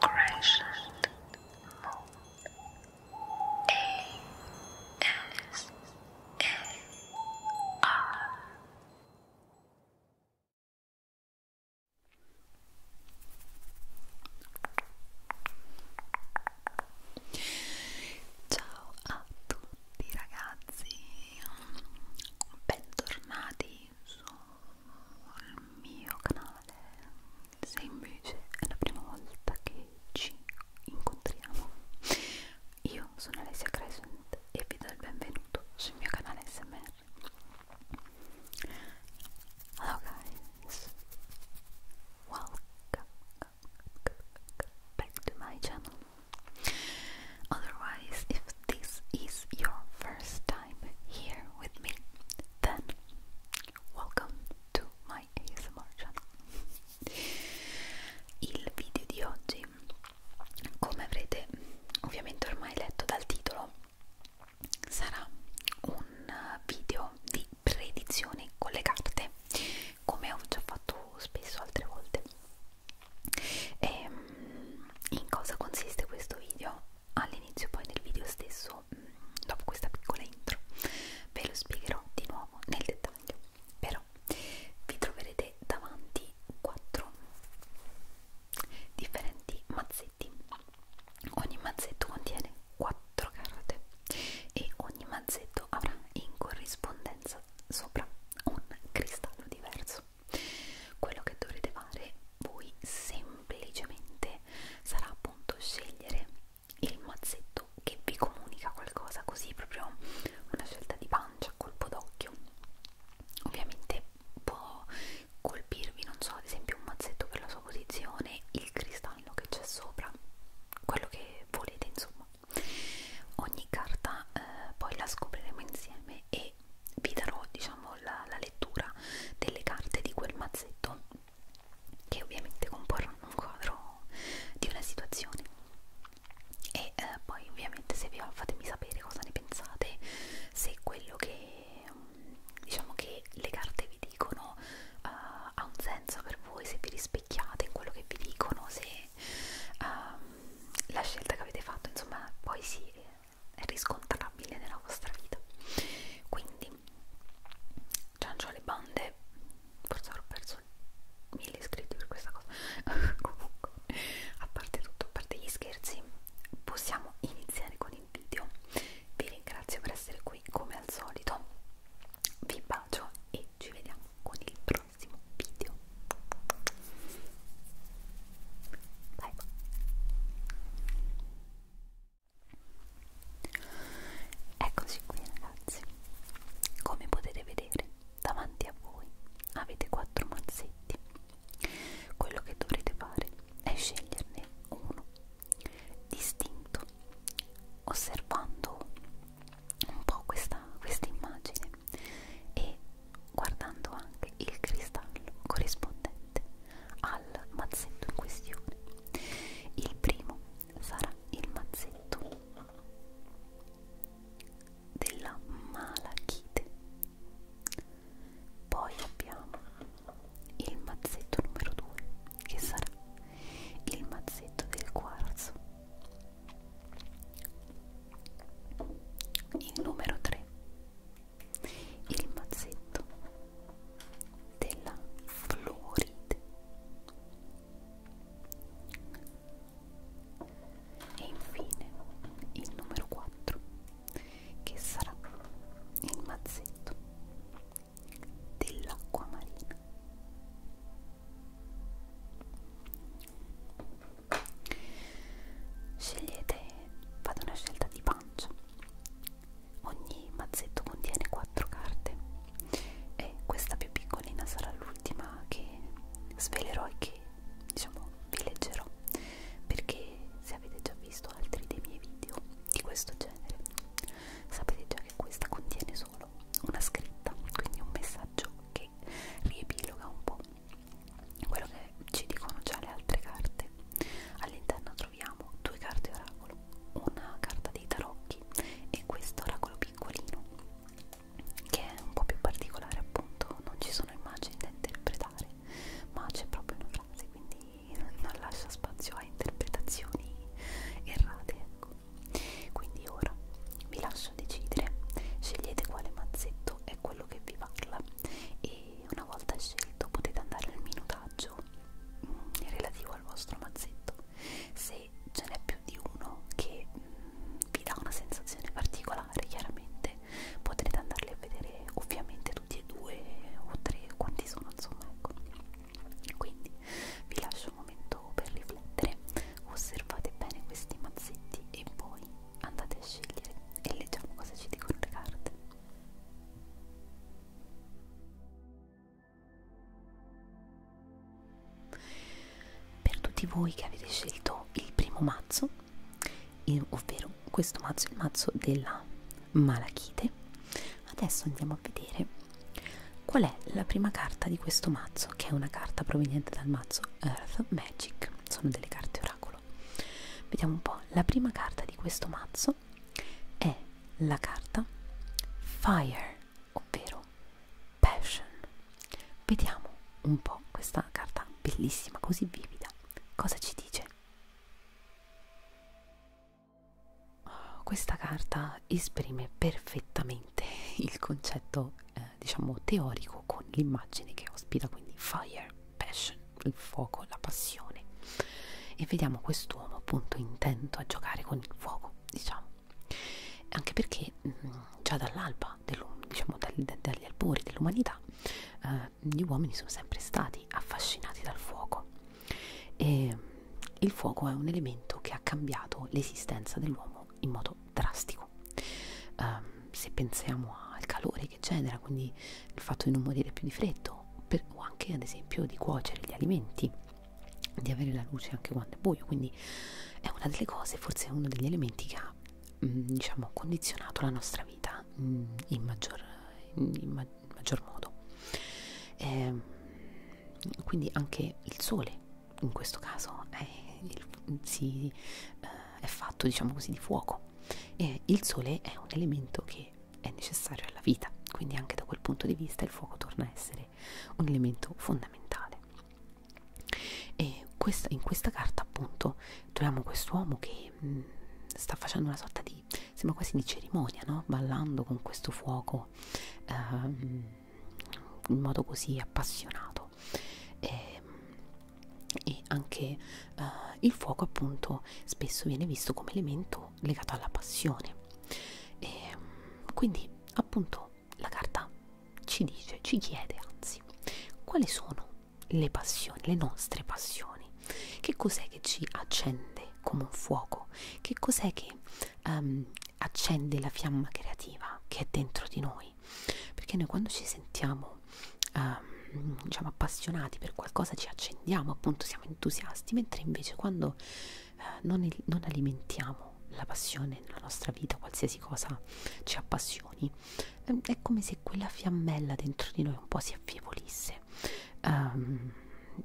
Crescent Moon A S A R Ciao a tutti ragazzi, bentornati su il mio canale se invece è la prima volta che ci incontriamo io sono Alessia Crescent e vi do il benvenuto sul mio canale SMR Hello guys Welcome back to my channel Otherwise if this is your first time here with me, then welcome to my ASMR channel. Il video di oggi, come avrete ovviamente ormai letto dal titolo, sarà un video di predizione con le carte, come ho già fatto spesso altre volte. E ehm, in cosa consiste questo video? all'inizio poi del video stesso, mm, dopo questa piccola intro, ve lo spiegherò di nuovo nel dettaglio. Però vi troverete davanti quattro differenti mazzetti. Ogni mazzetto contiene quattro carote e ogni mazzetto avrà in corrispondenza sopra un cristallo diverso. Quello che dovrete fare voi semplicemente sarà appunto scegliere il mazzetto che vi comunica qualcosa, così proprio una scelta di pancia, colpo d'occhio. Ovviamente può colpirvi, non so, ad esempio un mazzetto per la sua posizione, il cristallo che c'è sopra, quello che volete, insomma. Ogni carta eh, poi la scopriremo insieme e e vi darò diciamo la, la lettura delle carte di quel mazzetto che ovviamente comporranno un quadro di una situazione e eh, poi ovviamente se vi va fatemi sapere cosa ne pensate se quello che mm, diciamo che le carte vi dicono uh, ha un senso per voi se vi rispecchiate in quello che vi dicono se uh, la scelta che avete fatto insomma poi si riscontrabile nella vostra vita quindi ciancio alle bande forse ho perso mille iscritti per questa cosa comunque a parte tutto a parte gli scherzi possiamo iniziare con il video vi ringrazio per essere qui come al solito vi bacio e ci vediamo con il prossimo video Bye bye. Eccoci qui ragazzi. Come potete vedere, davanti a voi avete quattro mazzetti. Quello che dovrete fare è sceglierne uno distinto, osservando un po' questa, questa immagine e guardando anche il cristallo corrispondente al mazzetto in questione. Il primo sarà il mazzetto della malachite. Poi abbiamo il mazzetto numero 2 che sarà il mazzetto del quarzo. Il numero 3 il mazzetto della Floride e infine il numero 4 che sarà il mazzetto dell'acqua marina scegliete fate una scelta di banco pancia. Ogni mazzetto contiene 4 carte e questa più piccolina sarà l'ultima che svelerò e che diciamo vi leggerò perché se avete già visto altri dei miei video di questo genere sapete già che questa contiene solo una scritta quindi un messaggio che riepiloga un po' quello che ci dicono già le altre carte all'interno troviamo due carte oracolo, una carta dei tarocchi e questo oracolo piccolino che è un po' più particolare appunto, non ci sono immagini da interpretare ma c'è proprio una frase quindi non lascia spazio a interpretazioni errate ecco. quindi ora vi lascio decidere scegliete quale mazzetto è quello che vi parla e una volta scelto potete andare al minutaggio mh, mm, relativo al vostro mazzetto se ce n'è più di uno che mh, mm, vi dà una sensazione particolare chiaramente potrete andarli a vedere ovviamente tutti e due o tre quanti sono insomma ecco quindi vi lascio un momento per riflettere osservate bene questi mazzetti e poi andate a scegliere e leggiamo cosa ci dicono le carte per tutti voi che avete scelto il primo mazzo, ovvero questo mazzo, il mazzo della malachite, adesso andiamo a vedere qual è la prima carta di questo mazzo, che è una carta proveniente dal mazzo Earth Magic, sono delle carte oracolo. Vediamo un po', la prima carta di questo mazzo è la carta Fire, ovvero Passion. Vediamo un po' questa carta bellissima, così vivida. Cosa ci dice? Questa carta esprime perfettamente il concetto, eh, diciamo, teorico con l'immagine che ospita, quindi Fire passion, il fuoco, la passione e vediamo quest'uomo appunto intento a giocare con il fuoco, diciamo anche perché mh, mm, già dall'alba, diciamo dagli, dagli albori dell'umanità eh, gli uomini sono sempre stati affascinati dal fuoco e mm, il fuoco è un elemento che ha cambiato l'esistenza dell'uomo in modo drastico eh, se pensiamo al calore che genera, quindi il fatto di non morire più di freddo, per, o anche ad esempio di cuocere gli alimenti, di avere la luce anche quando è buio, quindi è una delle cose, forse è uno degli elementi che ha mh, mm, diciamo, condizionato la nostra vita mh, mm, in, maggior, in, in, ma, in maggior modo. Eh, quindi anche il sole in questo caso è, il, si, eh, è fatto diciamo così di fuoco e il sole è un elemento che è necessario alla vita, quindi anche da quel punto di vista il fuoco torna a essere un elemento fondamentale. E questa, in questa carta appunto troviamo quest'uomo che mh, mm, sta facendo una sorta di, sembra quasi di cerimonia, no? ballando con questo fuoco ehm, in modo così appassionato. E, e anche eh, il fuoco appunto spesso viene visto come elemento legato alla passione e ehm, quindi appunto la carta ci dice ci chiede anzi quali sono le passioni le nostre passioni che cos'è che ci accende come un fuoco che cos'è che um, accende la fiamma creativa che è dentro di noi perché noi quando ci sentiamo uh, diciamo appassionati per qualcosa ci accendiamo appunto siamo entusiasti mentre invece quando eh, non, non alimentiamo la passione nella nostra vita qualsiasi cosa ci appassioni eh, è come se quella fiammella dentro di noi un po' si affievolisse um,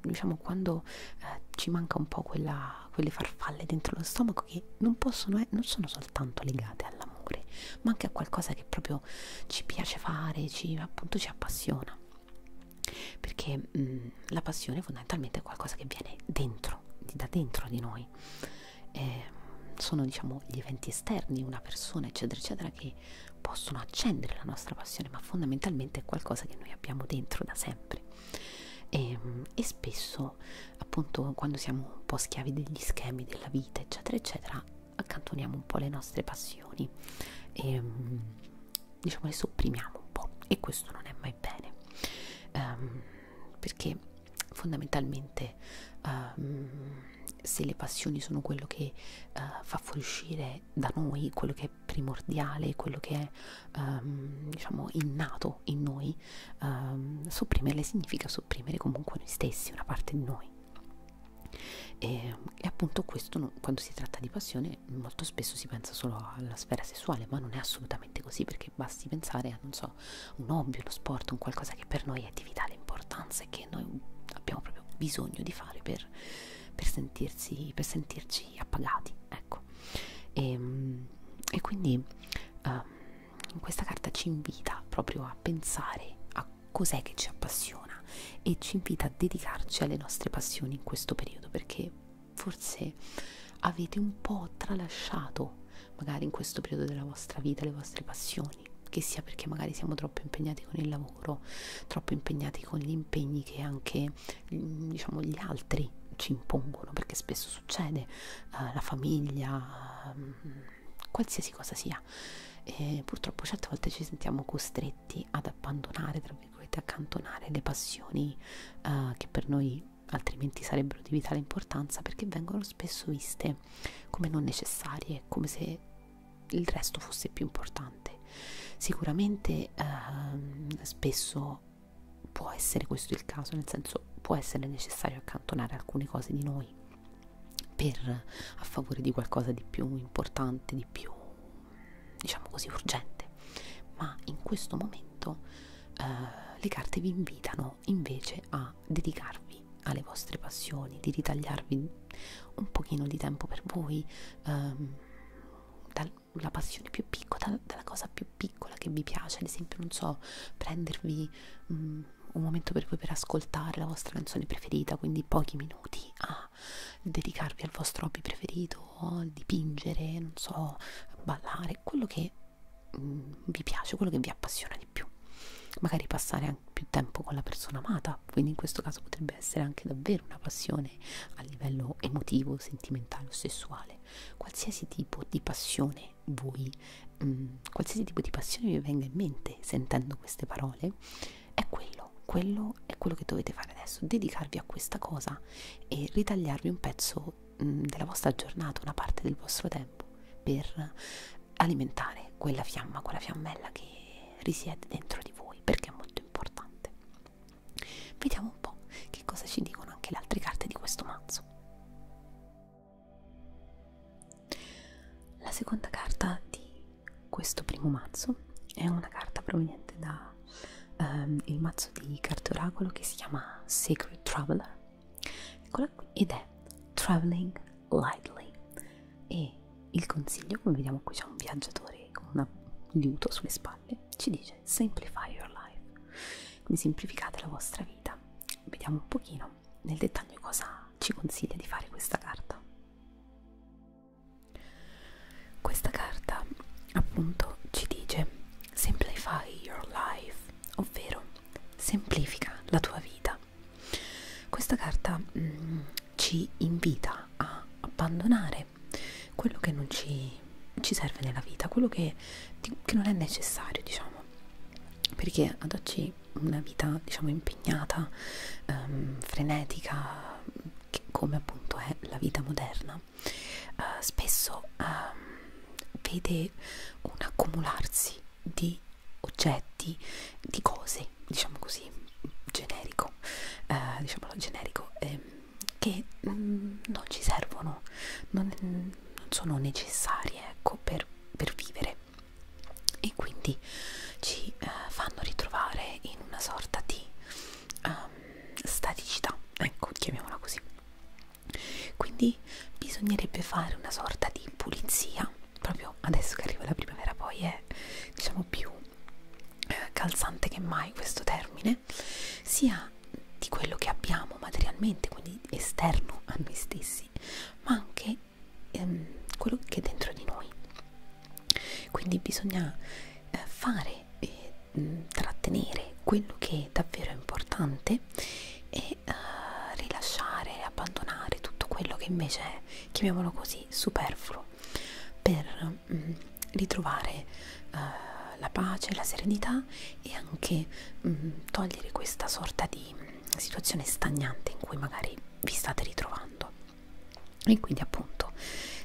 diciamo quando eh, ci manca un po' quella, quelle farfalle dentro lo stomaco che non possono eh, non sono soltanto legate all'amore ma anche a qualcosa che proprio ci piace fare ci appunto ci appassiona perché mh, mm, la passione fondamentalmente è qualcosa che viene dentro, da dentro di noi eh, sono diciamo gli eventi esterni, una persona eccetera eccetera che possono accendere la nostra passione ma fondamentalmente è qualcosa che noi abbiamo dentro da sempre e, ehm, e spesso appunto quando siamo un po' schiavi degli schemi della vita eccetera eccetera accantoniamo un po' le nostre passioni e mm, diciamo le sopprimiamo un po' e questo non è mai bene um, perché fondamentalmente um, se le passioni sono quello che uh, fa fuoriuscire da noi quello che è primordiale quello che è um, diciamo innato in noi um, sopprimerle significa sopprimere comunque noi stessi una parte di noi e, e appunto questo non, quando si tratta di passione molto spesso si pensa solo alla sfera sessuale, ma non è assolutamente così perché basti pensare a non so, un hobby, uno sport, un qualcosa che per noi è di vitale importanza e che noi abbiamo proprio bisogno di fare per, per, sentirsi, per sentirci appagati, ecco. E, ehm, e quindi um, questa carta ci invita proprio a pensare a cos'è che ci appassiona e ci invita a dedicarci alle nostre passioni in questo periodo perché forse avete un po' tralasciato magari in questo periodo della vostra vita le vostre passioni che sia perché magari siamo troppo impegnati con il lavoro, troppo impegnati con gli impegni che anche mm, diciamo, gli altri ci impongono, perché spesso succede, eh, la famiglia, eh, qualsiasi cosa sia. E purtroppo certe volte ci sentiamo costretti a ad abbandonare, tra virgolette, accantonare le passioni uh, che per noi altrimenti sarebbero di vitale importanza perché vengono spesso viste come non necessarie, come se il resto fosse più importante. Sicuramente uh, spesso può essere questo il caso, nel senso può essere necessario accantonare alcune cose di noi per a favore di qualcosa di più importante, di più diciamo così urgente ma in questo momento eh, le carte vi invitano invece a dedicarvi alle vostre passioni di ritagliarvi un pochino di tempo per voi ehm, dalla passione più piccola dal, dalla cosa più piccola che vi piace ad esempio non so prendervi mh, mm, un momento per voi per ascoltare la vostra canzone preferita quindi pochi minuti a a dedicarvi al vostro hobby preferito, dipingere, non so, ballare, quello che mm, vi piace, quello che vi appassiona di più. Magari passare anche più tempo con la persona amata, quindi in questo caso potrebbe essere anche davvero una passione a livello emotivo, sentimentale o sessuale. Qualsiasi tipo di passione voi, mm, qualsiasi tipo di passione vi venga in mente sentendo queste parole, è quello, quello è quello che dovete fare adesso, dedicarvi a questa cosa e ritagliarvi un pezzo mh, mm, della vostra giornata, una parte del vostro tempo per alimentare quella fiamma, quella fiammella che risiede dentro di voi perché è molto importante. Vediamo un po' che cosa ci dicono anche le altre carte di questo mazzo. La seconda carta di questo primo mazzo è una carta proveniente da um, il mazzo di carte oracolo che si chiama Sacred Traveler. Eccola qui ed è Traveling Lightly. E il consiglio, come vediamo qui c'è un viaggiatore con un liuto sulle spalle, ci dice Simplify your life. Quindi semplificate la vostra vita. Vediamo un pochino nel dettaglio cosa ci consiglia di fare questa carta. Questa carta appunto ci dice Simplify your life, ovvero semplifica la tua vita. Questa carta mm, ci invita a abbandonare quello che non ci, ci serve nella vita, quello che, che non è necessario, diciamo, perché ad oggi una vita diciamo impegnata, um, frenetica, che come appunto è la vita moderna, uh, spesso um, vede un accumularsi di oggetti, di cose, diciamo così, generico, uh, diciamolo generico, eh, che mm, non ci servono, non, non sono necessarie ecco, per, per vivere e quindi ci uh, fanno ritrovare in una sorta di um, staticità, ecco, chiamiamola così. Quindi bisognerebbe fare una sorta di pulizia, proprio adesso che arriva la primavera, poi è diciamo più eh, calzante che mai questo termine, sia di quello che abbiamo materialmente, quindi esterno a noi stessi, ma anche ehm, quello che è dentro di noi quindi bisogna eh, fare e mh, mm, trattenere quello che è davvero importante e eh, rilasciare e abbandonare tutto quello che invece è chiamiamolo così superfluo per mh, mm, ritrovare eh, la pace, la serenità e anche mh, mm, togliere questa sorta di mh, situazione stagnante in cui magari vi state ritrovando e quindi appunto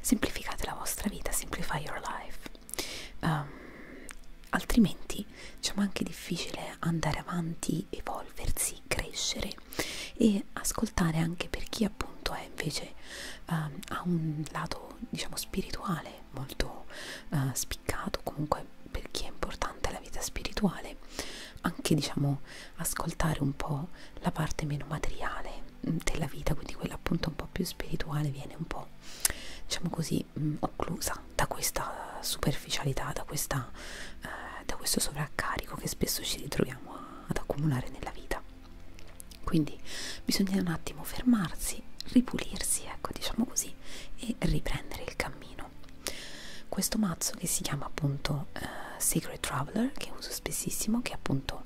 semplificate la vostra vita simplify your life um, altrimenti diciamo anche difficile andare avanti evolversi crescere e ascoltare anche per chi appunto è invece um, ha un lato diciamo spirituale molto uh, spiccato comunque per chi è importante la vita spirituale anche diciamo ascoltare un po' la parte meno materiale della vita, quindi quella appunto un po' più spirituale, viene un po' diciamo così mm, occlusa da questa superficialità, da, questa, eh, da questo sovraccarico che spesso ci ritroviamo a, ad accumulare nella vita. Quindi bisogna un attimo fermarsi, ripulirsi, ecco diciamo così, e riprendere il cammino. Questo mazzo che si chiama appunto eh, Secret Traveler, che uso spessissimo, che appunto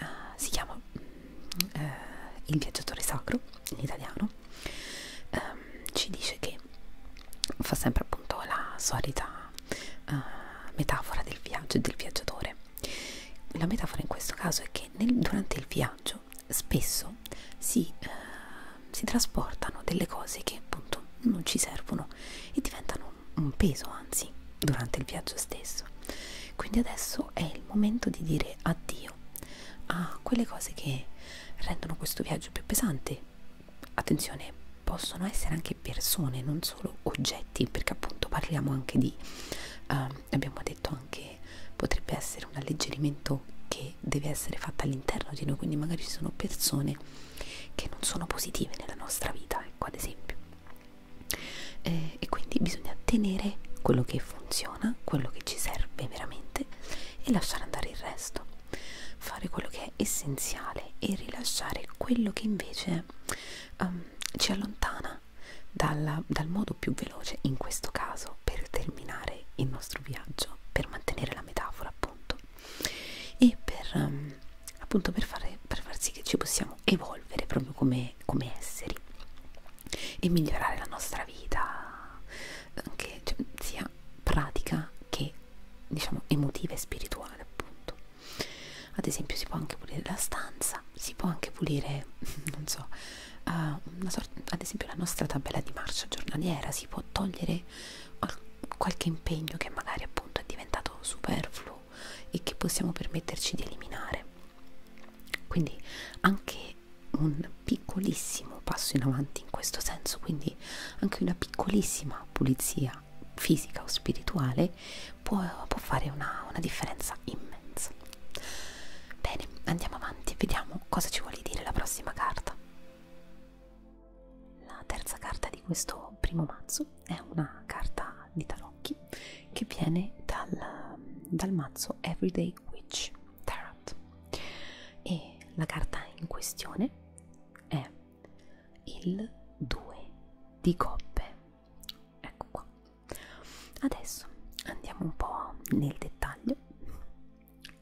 eh, si chiama eh, Il viaggiatore sacro in italiano, ehm, ci dice che fa sempre appunto la solita eh, metafora del viaggio e del viaggiatore. La metafora in questo caso è che nel, durante il viaggio spesso si, eh, si trasportano delle cose che appunto non ci servono e diventano un peso anzi durante il viaggio stesso quindi adesso è il momento di dire addio a quelle cose che rendono questo viaggio più pesante attenzione possono essere anche persone non solo oggetti perché appunto parliamo anche di eh, abbiamo detto anche potrebbe essere un alleggerimento che deve essere fatta all'interno di noi quindi magari ci sono persone che non sono positive nella nostra vita ecco ad esempio eh, e quindi bisogna tenere quello che funziona, quello che ci serve veramente e lasciare andare il resto, fare quello che è essenziale e rilasciare quello che invece um, ci allontana dalla, dal modo più veloce in questo caso per terminare il nostro viaggio, per mantenere la metafora appunto e per, um, appunto per, fare, per far sì che ci possiamo evolvere proprio come come, come esseri e migliorare la nostra vita anche cioè, sia pratica che diciamo emotiva e spirituale appunto ad esempio si può anche pulire la stanza si può anche pulire non so ah, uh, sorta, ad esempio la nostra tabella di marcia giornaliera si può togliere qualche impegno che magari appunto è diventato superfluo e che possiamo permetterci di eliminare quindi anche un piccolissimo passo in avanti in questo senso quindi anche una piccolissima pulizia fisica o spirituale può, può fare una, una differenza immensa bene andiamo avanti e vediamo cosa ci vuole dire la prossima carta la terza carta di questo primo mazzo è una carta di tarocchi che viene dal, dal mazzo Everyday Witch Tarot e la carta in questione è il 2 di coppe ecco qua adesso andiamo un po' nel dettaglio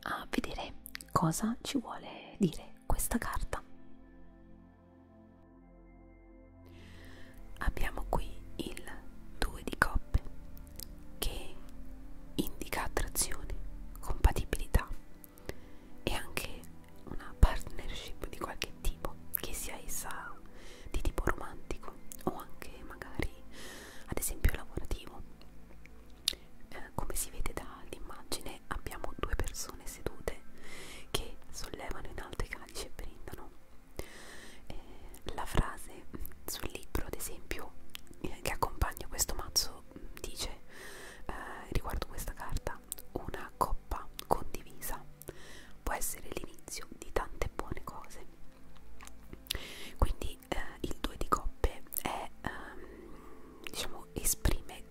a vedere cosa ci vuole dire questa carta Abbiamo qui il 2 di coppe che indica attrazione, compatibilità e anche una partnership di qualche tipo, che sia essa di tipo romantico o anche magari ad esempio lavorativo. Eh, come si vede dall'immagine abbiamo due persone sedute che sollevano in alto i calici e brindano eh, la frase sul libro, ad esempio, eh, che accompagna questo mazzo mm, dice eh, riguardo questa carta: una coppa condivisa può essere l'inizio di tante buone cose. Quindi eh, il 2 di coppe è, ehm, diciamo, esprime eh,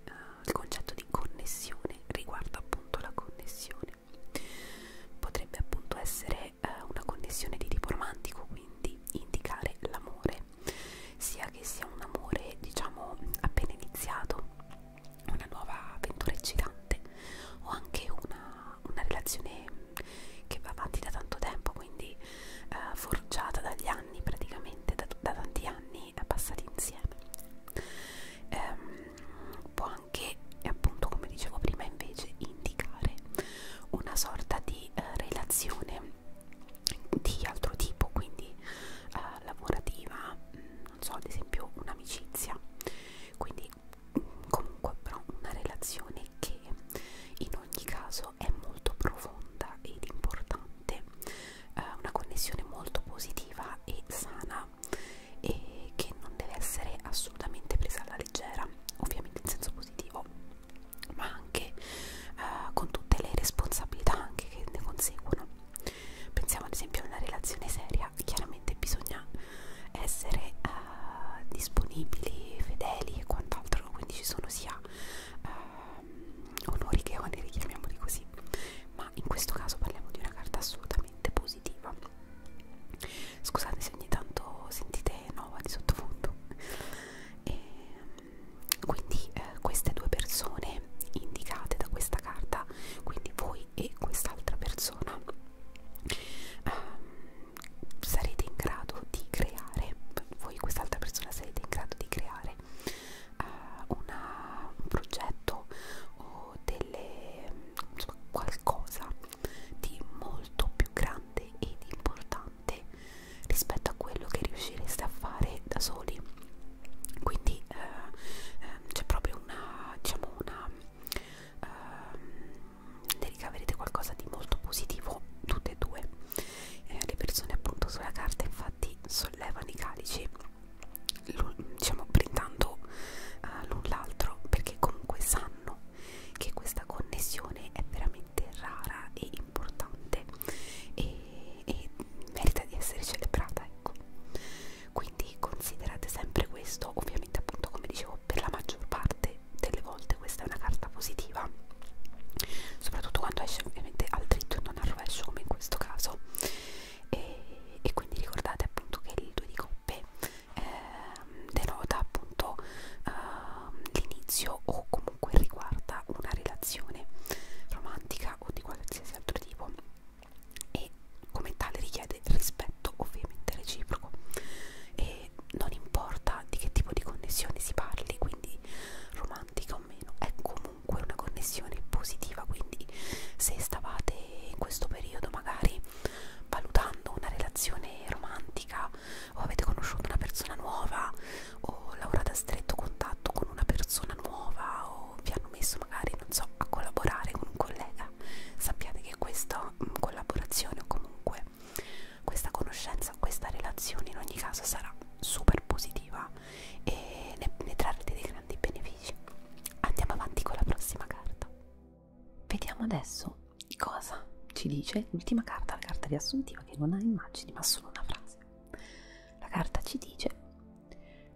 il concetto di connessione, riguarda appunto la connessione relazione. Potrebbe appunto essere eh, una condizione di tipo romantico, quindi indicare l'amore, sia che sia un amore diciamo appena iniziato, una nuova avventura eccitante o anche una, una relazione che va avanti da tanto tempo, quindi eh, forgiata dagli anni praticamente, da, da tanti anni eh, passati insieme. Ehm, può anche appunto come dicevo prima invece indicare una sorta di eh, relazione di altro tipo quindi eh, lavorativa mm, non so ad esempio un'amicizia quindi comunque però una relazione che in ogni caso è molto profonda ed importante eh, una connessione molto positiva e sana e che non deve essere assolutamente presa alla leggera, ovviamente in senso positivo, ma anche eh, con tutte le responsabilità anche che ne conseguono. Pensiamo ad esempio a una relazione seria, chiaramente bisogna essere eh, disponibili, fedeli e quant'altro, quindi ci sono sia eh, onori che oneri, chiamiamoli così, ma in questo caso parliamo di una carta assolutamente positiva Scusate se ogni tanto sentite Nova di sottofondo. E, quindi eh, queste due persone indicate da questa carta, quindi voi e quest'altra persona, ehm, sarete in grado di creare, voi e quest'altra persona sarete in grado di creare eh, una, un progetto o delle, insomma, qualcosa di molto più grande ed importante rispetto a quello che riuscireste a fare da soli quindi eh, eh, c'è proprio una diciamo una eh, ne ricaverete qualcosa di molto positivo tutte e due eh, le persone appunto sulla carta infatti sollevano i calici diciamo brindando uh, l'un l'altro perché comunque sanno che questa connessione è veramente rara e importante e, e merita di essere celebrata ecco quindi considerate sempre questo ovviamente appunto come dicevo per la maggior parte delle volte questa è una carta positiva soprattutto quando esce ovviamente al dritto e non al rovescio come in questo caso e, e quindi ricordate appunto che il 2 di coppe P eh, denota appunto eh, l'inizio o comunque riguarda una relazione romantica o di qualsiasi altro tipo e come tale richiede rispetto ovviamente reciproco e non importa di che tipo di connessione si parli quindi romantica o meno è comunque una connessione positiva quindi se stavate in questo periodo magari valutando una relazione romantica o avete conosciuto una persona nuova o lavorate a stretto contatto con una persona nuova o vi hanno messo magari, non so, a collaborare con un collega, sappiate che questa mm, collaborazione o comunque questa conoscenza, questa relazione in ogni caso sarà super positiva e ne, ne trarrete dei grandi benefici. Andiamo avanti con la prossima carta. Vediamo adesso cosa ci dice l'ultima carta, la carta riassuntiva che non ha immagini ma solo una frase. La carta ci dice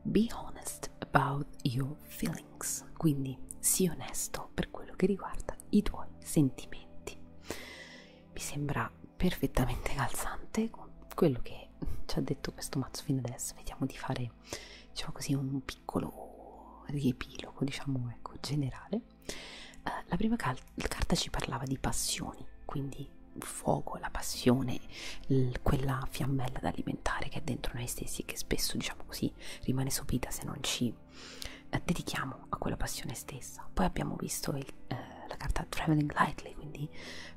Be honest about your feelings, quindi sii onesto per quello che riguarda i tuoi sentimenti. Mi sembra perfettamente calzante con quello che ci ha detto questo mazzo fino adesso. Vediamo di fare diciamo così un, piccolo riepilogo, diciamo ecco, generale, eh, la prima cal carta ci parlava di passioni, quindi il fuoco, la passione, quella fiammella da alimentare che è dentro noi stessi, che spesso, diciamo così, rimane sopita se non ci eh, dedichiamo a quella passione stessa. Poi abbiamo visto il, eh, la carta Traveling Lightly, quindi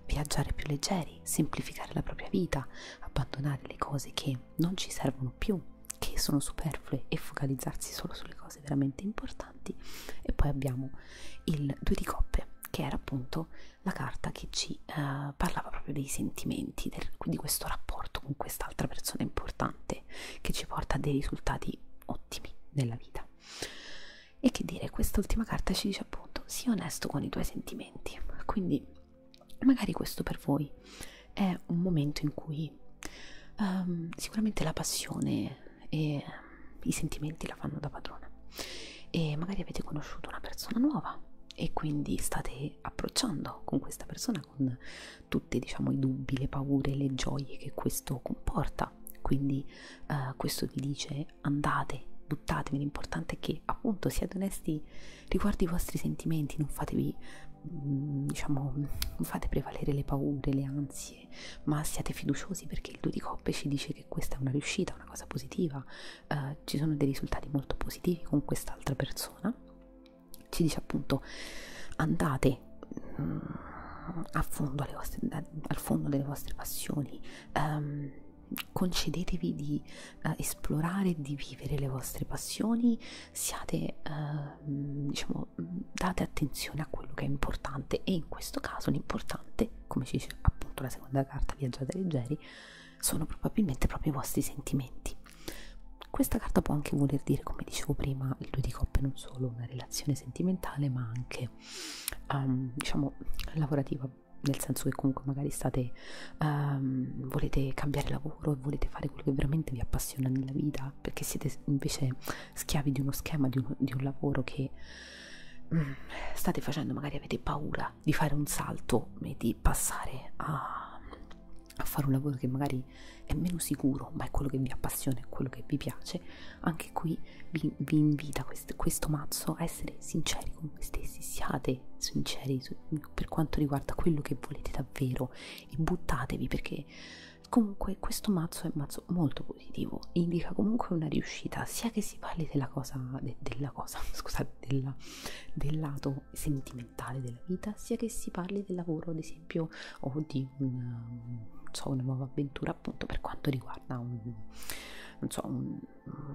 viaggiare più leggeri, semplificare la propria vita, abbandonare le cose che non ci servono più, che sono superflue e focalizzarsi solo sulle cose veramente importanti. E poi abbiamo il 2 di coppe, che era appunto la carta che ci eh, parlava proprio dei sentimenti, del, di questo rapporto con quest'altra persona importante che ci porta a dei risultati ottimi nella vita. E che dire, quest'ultima carta ci dice appunto sii onesto con i tuoi sentimenti. Quindi magari questo per voi è un momento in cui um, sicuramente la passione e i sentimenti la fanno da padrona e magari avete conosciuto una persona nuova e quindi state approcciando con questa persona con tutti diciamo i dubbi, le paure, le gioie che questo comporta quindi uh, questo vi dice andate, buttatevi l'importante è che appunto siate onesti riguardo i vostri sentimenti, non fatevi, mm, diciamo, non fate prevalere le paure, le ansie, ma siate fiduciosi perché il 2 di coppe ci dice che questa è una riuscita, una cosa positiva, eh, ci sono dei risultati molto positivi con quest'altra persona, ci dice appunto andate mh, mm, a fondo alle vostre, a, al fondo delle vostre passioni. Um, concedetevi di uh, esplorare e di vivere le vostre passioni siate eh, mm, diciamo mm, date attenzione a quello che è importante e in questo caso l'importante come ci dice appunto la seconda carta viaggiate leggeri sono probabilmente proprio i vostri sentimenti questa carta può anche voler dire come dicevo prima il due di coppe non solo una relazione sentimentale ma anche um, diciamo lavorativa nel senso che comunque magari state um, volete cambiare lavoro e volete fare quello che veramente vi appassiona passione nella vita perché siete invece schiavi di uno schema, di un, di un lavoro che mm, state facendo, magari avete paura di fare un salto e di passare a, a fare un lavoro che magari è meno sicuro, ma è quello che vi appassiona, è quello che vi piace, anche qui vi, vi invita questo, questo mazzo a essere sinceri con voi stessi, siate sinceri per quanto riguarda quello che volete davvero e buttatevi perché comunque questo mazzo è un mazzo molto positivo indica comunque una riuscita sia che si parli della cosa, de, della cosa scusate della, del lato sentimentale della vita sia che si parli del lavoro ad esempio o di una, so, una nuova avventura appunto per quanto riguarda un, non so, un,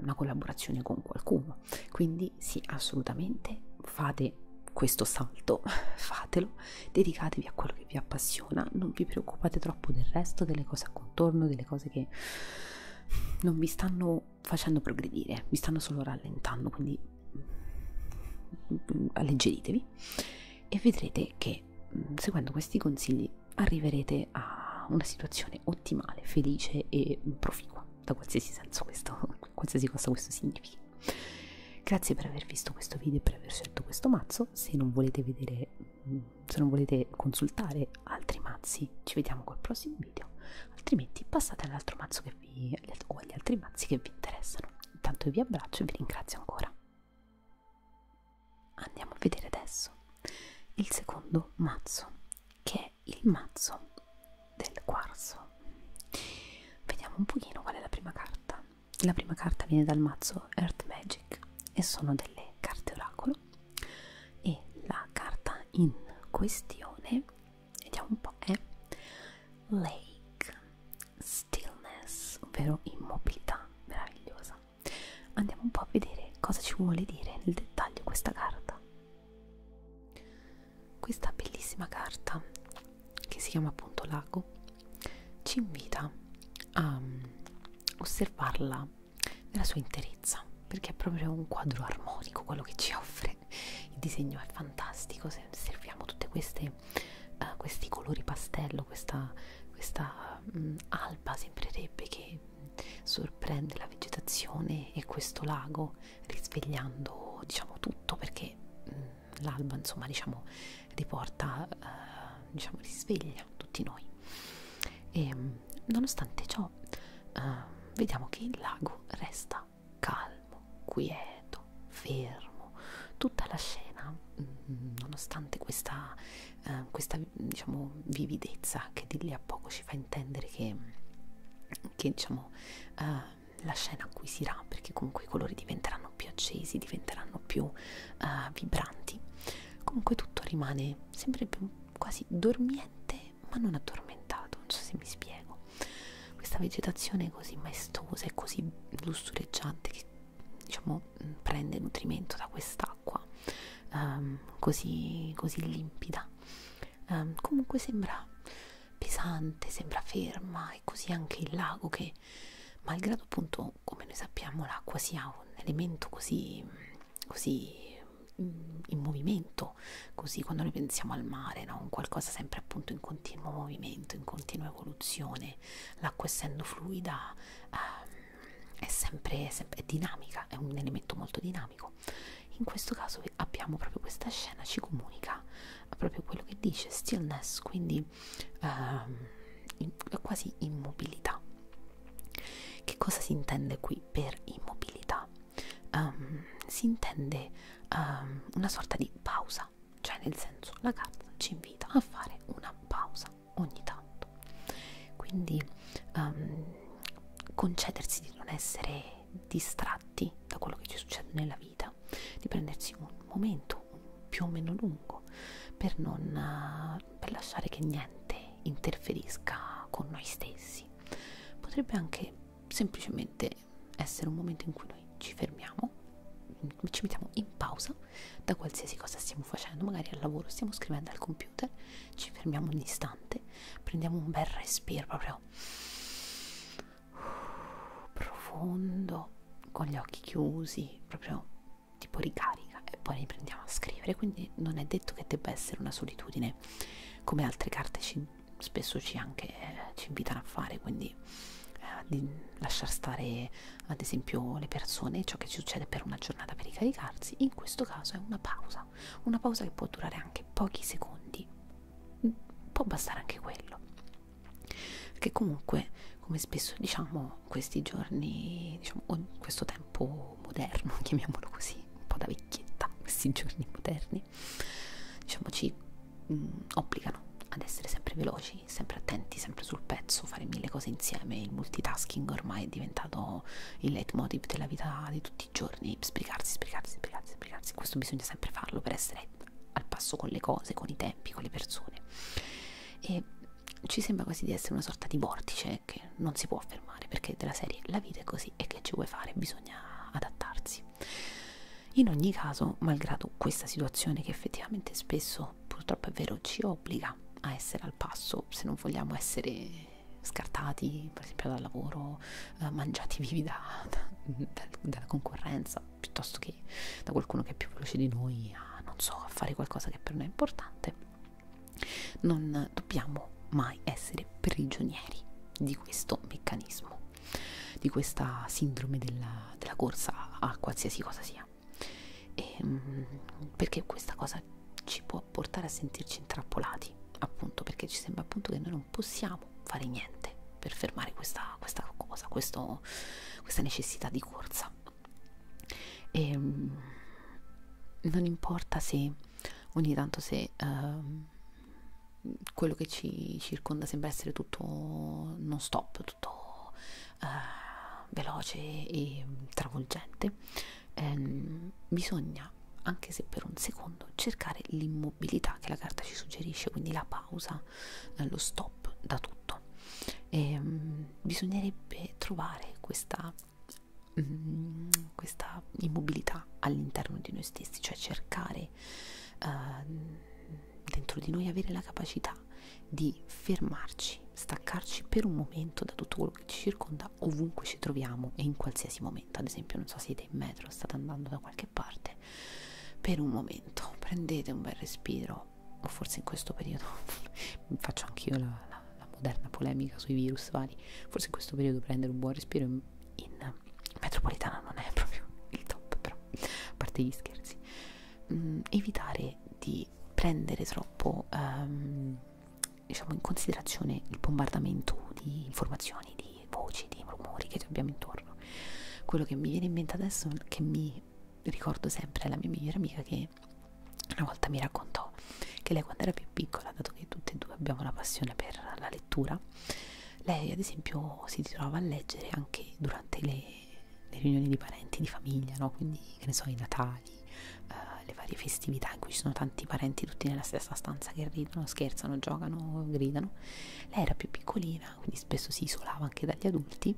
una collaborazione con qualcuno quindi sì assolutamente fate questo salto, fatelo, dedicatevi a quello che vi appassiona, non vi preoccupate troppo del resto, delle cose a contorno, delle cose che non vi stanno facendo progredire, vi stanno solo rallentando, quindi mm, alleggeritevi e vedrete che mm, seguendo questi consigli arriverete a una situazione ottimale, felice e proficua, da qualsiasi senso questo qualsiasi cosa questo significhi. Grazie per aver visto questo video e per aver scelto questo mazzo. Se non volete vedere, se non volete consultare altri mazzi, ci vediamo col prossimo video. Altrimenti passate all'altro mazzo che vi, o agli altri mazzi che vi interessano. Intanto io vi abbraccio e vi ringrazio ancora. Andiamo a vedere adesso il secondo mazzo, che è il mazzo del quarzo vediamo un pochino qual è la prima carta la prima carta viene dal mazzo Earth Magic e sono delle carte oracolo e la carta in questione vediamo un po' è Lake Stillness ovvero immobilità meravigliosa andiamo un po' a vedere cosa ci vuole dire nel dettaglio questa carta questa bellissima carta che si chiama appunto Lago ci invita a mm, osservarla nella sua interezza perché è proprio un quadro armonico quello che ci offre il disegno è fantastico se osserviamo tutti uh, eh, questi colori pastello questa, questa um, alba sembrerebbe che sorprende la vegetazione e questo lago risvegliando diciamo tutto perché mh, mm, l'alba insomma diciamo riporta eh, diciamo risveglia tutti noi e ehm, nonostante ciò eh, vediamo che il lago resta calmo quieto fermo tutta la scena mh, mm, nonostante questa eh, questa diciamo vividezza che di lì a poco ci fa intendere che che diciamo eh, la scena acquisirà perché comunque i colori diventeranno più accesi, diventeranno più uh, vibranti. Comunque tutto rimane sempre più quasi dormiente ma non addormentato, non so se mi spiego. Questa vegetazione così maestosa e così lussureggiante che diciamo mm, prende nutrimento da quest'acqua um, così, così limpida. Um, comunque sembra pesante, sembra ferma e così anche il lago che malgrado appunto come noi sappiamo l'acqua sia un elemento così, così in movimento, così quando noi pensiamo al mare, no? un qualcosa sempre appunto in continuo movimento, in continua evoluzione, l'acqua essendo fluida eh, è sempre è, sempre, è dinamica, è un elemento molto dinamico. In questo caso abbiamo proprio questa scena, ci comunica proprio quello che dice stillness, quindi ehm, in, quasi immobilità. Che cosa si intende qui per immobilità? Um, si intende um, una sorta di pausa, cioè nel senso la carta ci invita a fare una pausa ogni tanto, quindi um, concedersi di non essere distratti da quello che ci succede nella vita, di prendersi un momento più o meno lungo per, non, eh, per lasciare che niente interferisca con noi stessi. Potrebbe anche semplicemente essere un momento in cui noi ci fermiamo, ci mettiamo in pausa da qualsiasi cosa stiamo facendo, magari al lavoro stiamo scrivendo al computer, ci fermiamo un istante, prendiamo un bel respiro proprio profondo con gli occhi chiusi, proprio tipo ricarica e poi riprendiamo a scrivere, quindi non è detto che debba essere una solitudine come altre carte ci, spesso ci, anche, eh, ci invitano a fare, quindi eh, di lasciar stare ad esempio le persone, ciò che ci succede per una giornata per ricaricarsi, in questo caso è una pausa, una pausa che può durare anche pochi secondi, mm, può bastare anche quello che comunque come spesso diciamo questi giorni diciamo questo tempo moderno chiamiamolo così un po' da vecchietta questi giorni moderni diciamo ci mh, mm, obbligano ad essere sempre veloci sempre attenti sempre sul pezzo fare mille cose insieme il multitasking ormai è diventato il leitmotiv della vita di tutti i giorni sbrigarsi sbrigarsi sbrigarsi sbrigarsi questo bisogna sempre farlo per essere al passo con le cose, con i tempi, con le persone e ci sembra quasi di essere una sorta di vortice che non si può fermare perché della serie la vita è così e che ci vuoi fare, bisogna adattarsi in ogni caso, malgrado questa situazione che effettivamente spesso purtroppo è vero ci obbliga a essere al passo se non vogliamo essere scartati per esempio dal lavoro, eh, mangiati vivi da, da, da, dalla concorrenza forza piuttosto che da qualcuno che è più veloce di noi a, non so, a fare qualcosa che per noi è importante, non dobbiamo mai essere prigionieri di questo meccanismo, di questa sindrome della, della corsa a qualsiasi cosa sia. E, ehm, perché questa cosa ci può portare a sentirci intrappolati, appunto, perché ci sembra appunto che noi non possiamo potevamo fare niente per fermare questa, questa cosa, questo, questa necessità di corsa. E, ehm, non importa se ogni tanto se uh, quello che ci circonda sembra essere tutto non stop, tutto uh, veloce e travolgente, um, bisogna anche se per un secondo cercare l'immobilità che la carta ci suggerisce, quindi la pausa ferma, dallo stop, da tutto. E, ehm, mh, bisognerebbe trovare questa, mh, mm, questa immobilità all'interno di noi stessi, cioè cercare uh, dentro di noi avere la capacità di fermarci, staccarci per un momento da tutto quello che ci circonda ovunque ci troviamo e in qualsiasi momento. Ad esempio, non so, siete in metro, state andando da qualche parte bene per un momento prendete un bel respiro o forse in questo periodo faccio anch'io la, la, la moderna polemica sui virus vari forse in questo periodo prendere un buon respiro in, in metropolitana non è proprio il top però a parte gli scherzi mm, evitare di prendere troppo um, diciamo in considerazione il bombardamento di informazioni di voci di rumori che abbiamo intorno quello che mi viene in mente adesso che mi ricordo sempre la mia migliore amica che una volta mi raccontò che lei quando era più piccola, dato che tutte e due abbiamo una passione per la lettura, lei ad esempio si trovava a leggere anche durante le, le riunioni di parenti, di famiglia, no? quindi che ne so, i natali, uh, le varie festività in cui ci sono tanti parenti tutti nella stessa stanza che ridono, scherzano, giocano, gridano. Lei era più piccolina, quindi spesso si isolava anche dagli adulti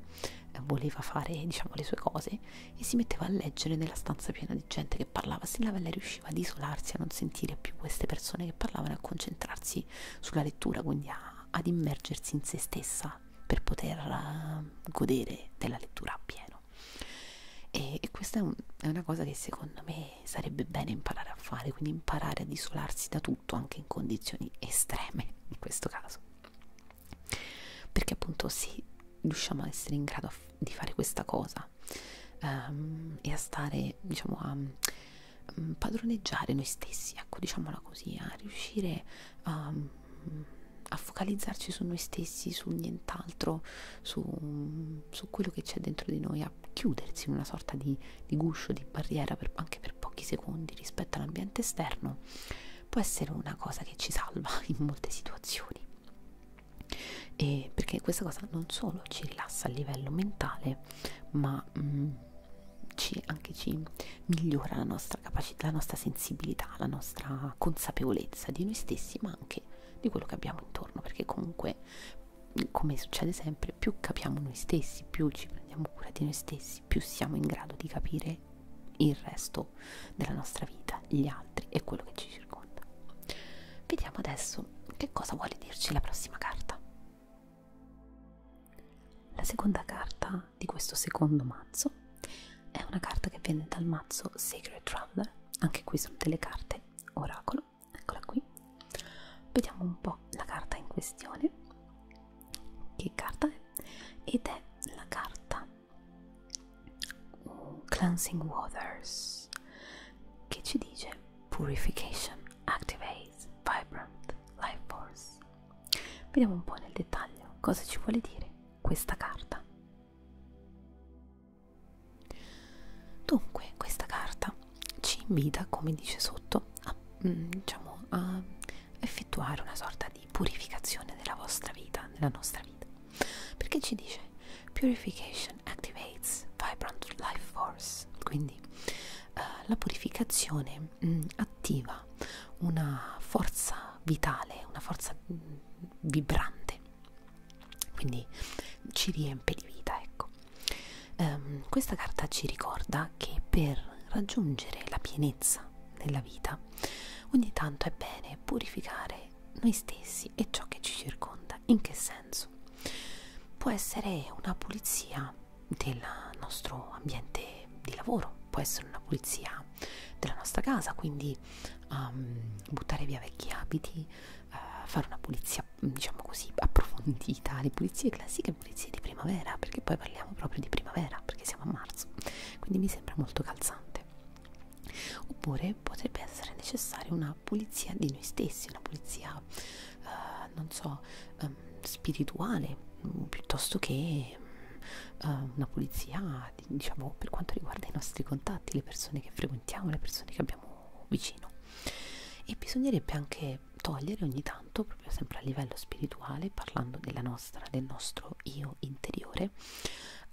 eh, voleva fare diciamo le sue cose e si metteva a leggere nella stanza piena di gente che parlava Stella Vella riusciva ad isolarsi a non sentire più queste persone che parlavano e a concentrarsi sulla lettura quindi a, ad immergersi in se stessa per poter uh, godere della lettura a pieno e, e questa è, un, è una cosa che secondo me sarebbe bene imparare a fare quindi imparare ad isolarsi da tutto anche in condizioni estreme in questo caso perché appunto se riusciamo a essere in grado di fare questa cosa um, e a stare diciamo a um, padroneggiare noi stessi ecco diciamola così a riuscire a, a focalizzarci su noi stessi su nient'altro su, su quello che c'è dentro di noi a chiudersi in una sorta di di guscio, di barriera per, anche per pochi secondi rispetto all'ambiente esterno, può essere una cosa che ci salva in molte situazioni. E perché questa cosa non solo ci rilassa a livello mentale, ma mh, mm, ci, anche ci migliora la nostra capacità, la nostra sensibilità, la nostra consapevolezza di noi stessi, ma anche di quello che abbiamo intorno, perché comunque, come succede sempre, più capiamo noi stessi, più ci prendiamo cura di noi stessi, più siamo in grado di capire il resto della nostra vita, gli altri e quello che ci circonda. Vediamo adesso che cosa vuole dirci la prossima carta. La seconda carta di questo secondo mazzo è una carta che viene dal mazzo Sacred Traveler, anche qui sono delle carte oracolo, eccola qui. Vediamo un po' la carta in questione che carta è ed è la carta Cleansing Waters che ci dice Purification Activates Vibrant Life Force. Vediamo un po' nel dettaglio cosa ci vuole dire questa carta. Dunque, questa carta ci invita, come dice sotto, a, mm, diciamo, a effettuare una sorta di purificazione della vostra vita, della nostra vita, perché ci dice purification activates vibrant life force, quindi eh, la purificazione mh, mm, attiva una forza vitale, una forza mh, mm, vibrante, quindi ci riempie di vita, ecco. Um, questa carta ci ricorda che per raggiungere la pienezza cosa nella vita, ogni tanto è bene purificare noi stessi e ciò che ci circonda. In che senso? Può essere una pulizia del nostro ambiente di lavoro, può essere una pulizia della nostra casa, quindi um, buttare via vecchi abiti, uh, fare una pulizia, diciamo così, approfondita. Le pulizie classiche le pulizie di primavera perché poi parliamo proprio di primavera perché siamo a marzo quindi mi sembra molto calzante oppure potrebbe essere necessaria una pulizia di noi stessi una pulizia eh, non so eh, spirituale mm, piuttosto che mm, eh, una pulizia diciamo per quanto riguarda i nostri contatti le persone che frequentiamo le persone che abbiamo vicino e bisognerebbe anche togliere ogni tanto proprio sempre a livello spirituale, parlando della nostra, del nostro io interiore,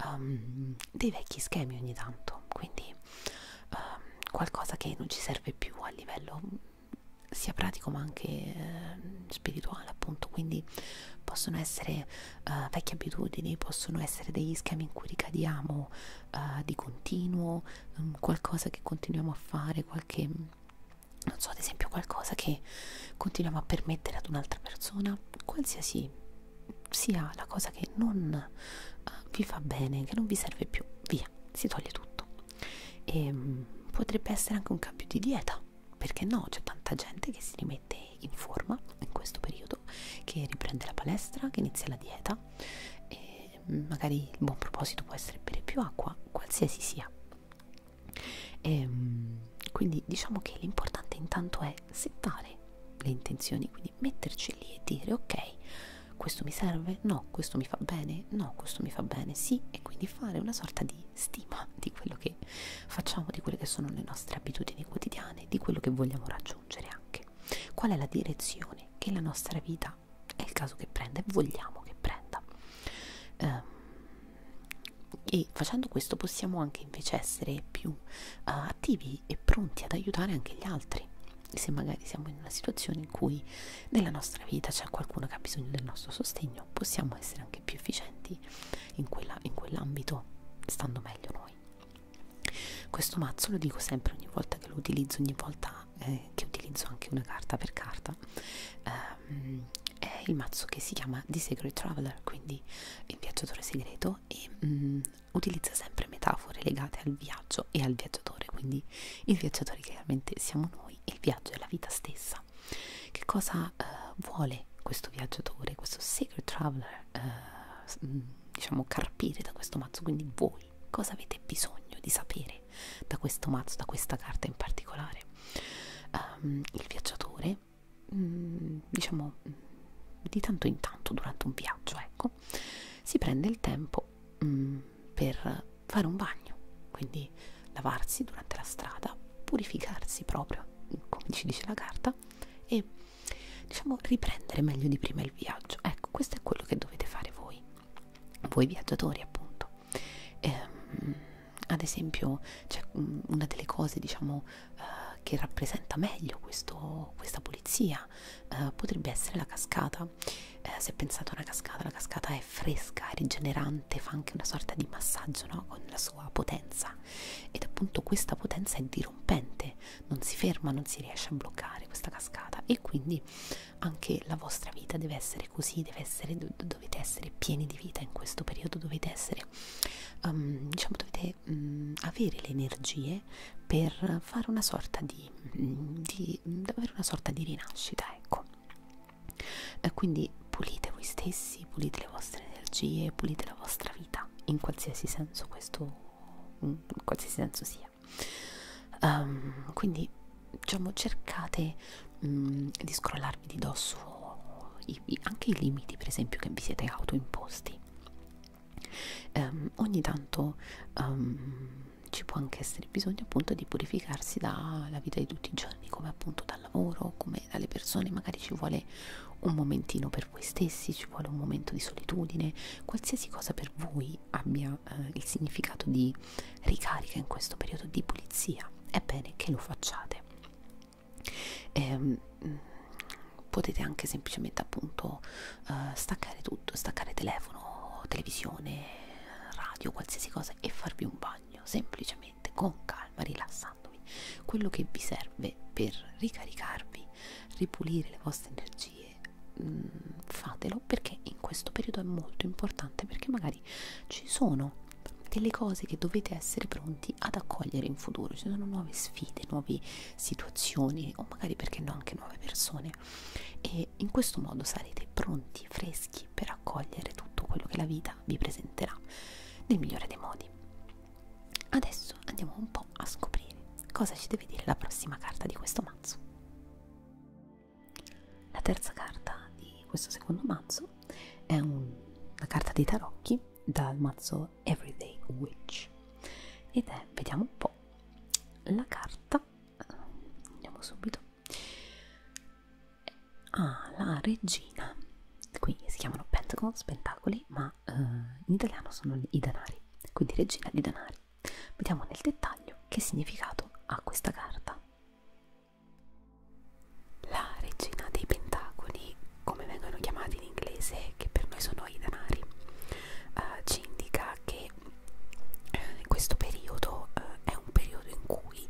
um, dei vecchi schemi ogni tanto, quindi um, qualcosa che non ci serve più a livello sia pratico ma anche eh, spirituale appunto quindi possono essere eh, vecchie abitudini possono essere degli schemi in cui ricadiamo eh, di continuo um, qualcosa che continuiamo a fare qualche non so ad esempio qualcosa che continuiamo a permettere ad un'altra persona qualsiasi sia la cosa che non uh, vi fa bene che non vi serve più via si toglie tutto e um, potrebbe essere anche un cambio di dieta perché no c'è tanta gente che si rimette in forma in questo periodo che riprende la palestra che inizia la dieta e magari il buon proposito può essere bere più acqua qualsiasi sia e, ehm, quindi diciamo che l'importante intanto è settare le intenzioni, quindi metterci lì e dire ok, questo mi serve? No, questo mi fa bene? No, questo mi fa bene? Sì, e quindi fare una sorta di stima di quello che facciamo, di quelle che sono le nostre abitudini quotidiane, di quello che vogliamo raggiungere anche. Qual è la direzione che la nostra vita è il caso che prenda e vogliamo che prenda? Um, e facendo questo possiamo anche invece essere più uh, attivi e pronti ad aiutare anche gli altri se magari siamo in una situazione in cui nella nostra vita c'è qualcuno che ha bisogno del nostro sostegno possiamo essere anche più efficienti in, quella, in quell'ambito stando meglio noi questo mazzo lo dico sempre ogni volta che lo utilizzo ogni volta eh, che utilizzo anche una carta per carta eh, um, è il mazzo che si chiama The Secret Traveler, quindi il viaggiatore segreto e um, utilizza sempre metafore legate al viaggio e al viaggiatore, quindi il viaggiatore chiaramente siamo noi e il viaggio è la vita stessa. Che cosa uh, vuole questo viaggiatore, questo Secret Traveler, uh, diciamo carpire da questo mazzo? Quindi voi cosa avete bisogno di sapere da questo mazzo, da questa carta in particolare? Um, il viaggiatore, mh, mm, diciamo mm, di tanto in tanto durante un viaggio, ecco, si prende il tempo mh, mm, per fare un bagno, quindi lavarsi durante la strada, purificarsi proprio, come ci dice la carta, e diciamo riprendere meglio di prima il viaggio. Ecco, questo è quello che dovete fare voi, voi viaggiatori appunto. Ehm, ad esempio, cioè, una delle cose diciamo, eh, che rappresenta meglio questo, questa pulizia eh, potrebbe essere la cascata. Eh, se pensate a una cascata, la cascata è fresca, è rigenerante, fa anche una sorta di massaggio no? con la sua potenza ed appunto questa potenza è dirompente, non si ferma, non si riesce a bloccare questa cascata e quindi anche la vostra vita deve essere così, deve essere, dovete essere pieni di vita in questo periodo, dovete essere, um, diciamo, dovete um, avere le energie per fare una sorta di, mm, di, di avere una sorta di rinascita, ecco. Eh, quindi pulite voi stessi, pulite le vostre energie, pulite la vostra vita, in qualsiasi senso questo in qualsiasi senso sia. Um, quindi diciamo cercate um, di scrollarvi di dosso i i, anche i limiti per esempio che vi siete autoimposti um, ogni tanto um, ci può anche essere bisogno appunto di purificarsi dalla vita di tutti i giorni come appunto dal lavoro come dalle persone magari ci vuole un momentino per voi stessi ci vuole un momento di solitudine qualsiasi cosa per voi abbia eh, il significato di ricarica in questo periodo di pulizia è bene che lo facciate e, ehm, mm, potete anche semplicemente appunto uh, staccare tutto, staccare telefono, televisione, radio, qualsiasi cosa e farvi un bagno semplicemente con calma, rilassandovi quello che vi serve per ricaricarvi, ripulire le vostre energie mm, fatelo perché in questo periodo è molto importante perché magari ci sono delle cose che dovete essere pronti ad accogliere in futuro ci sono nuove sfide nuove situazioni o magari perché no anche nuove persone e in questo modo sarete pronti freschi per accogliere tutto quello che la vita vi presenterà nel migliore dei modi adesso andiamo un po a scoprire cosa ci deve dire la prossima carta di questo mazzo la terza carta di questo secondo mazzo questo è un, una carta dei tarocchi dal mazzo Everyday Witch ed è, vediamo un po', la carta, andiamo subito, ah, la regina, qui si chiamano Pentagon, Pentacoli, ma eh, in italiano sono i denari, quindi regina di denari. Vediamo nel dettaglio che significato ha questa carta. La regina dei pentacoli, come vengono chiamati in inglese, che per noi sono i denari, eh, ci indica che eh, questo periodo eh, è un periodo in cui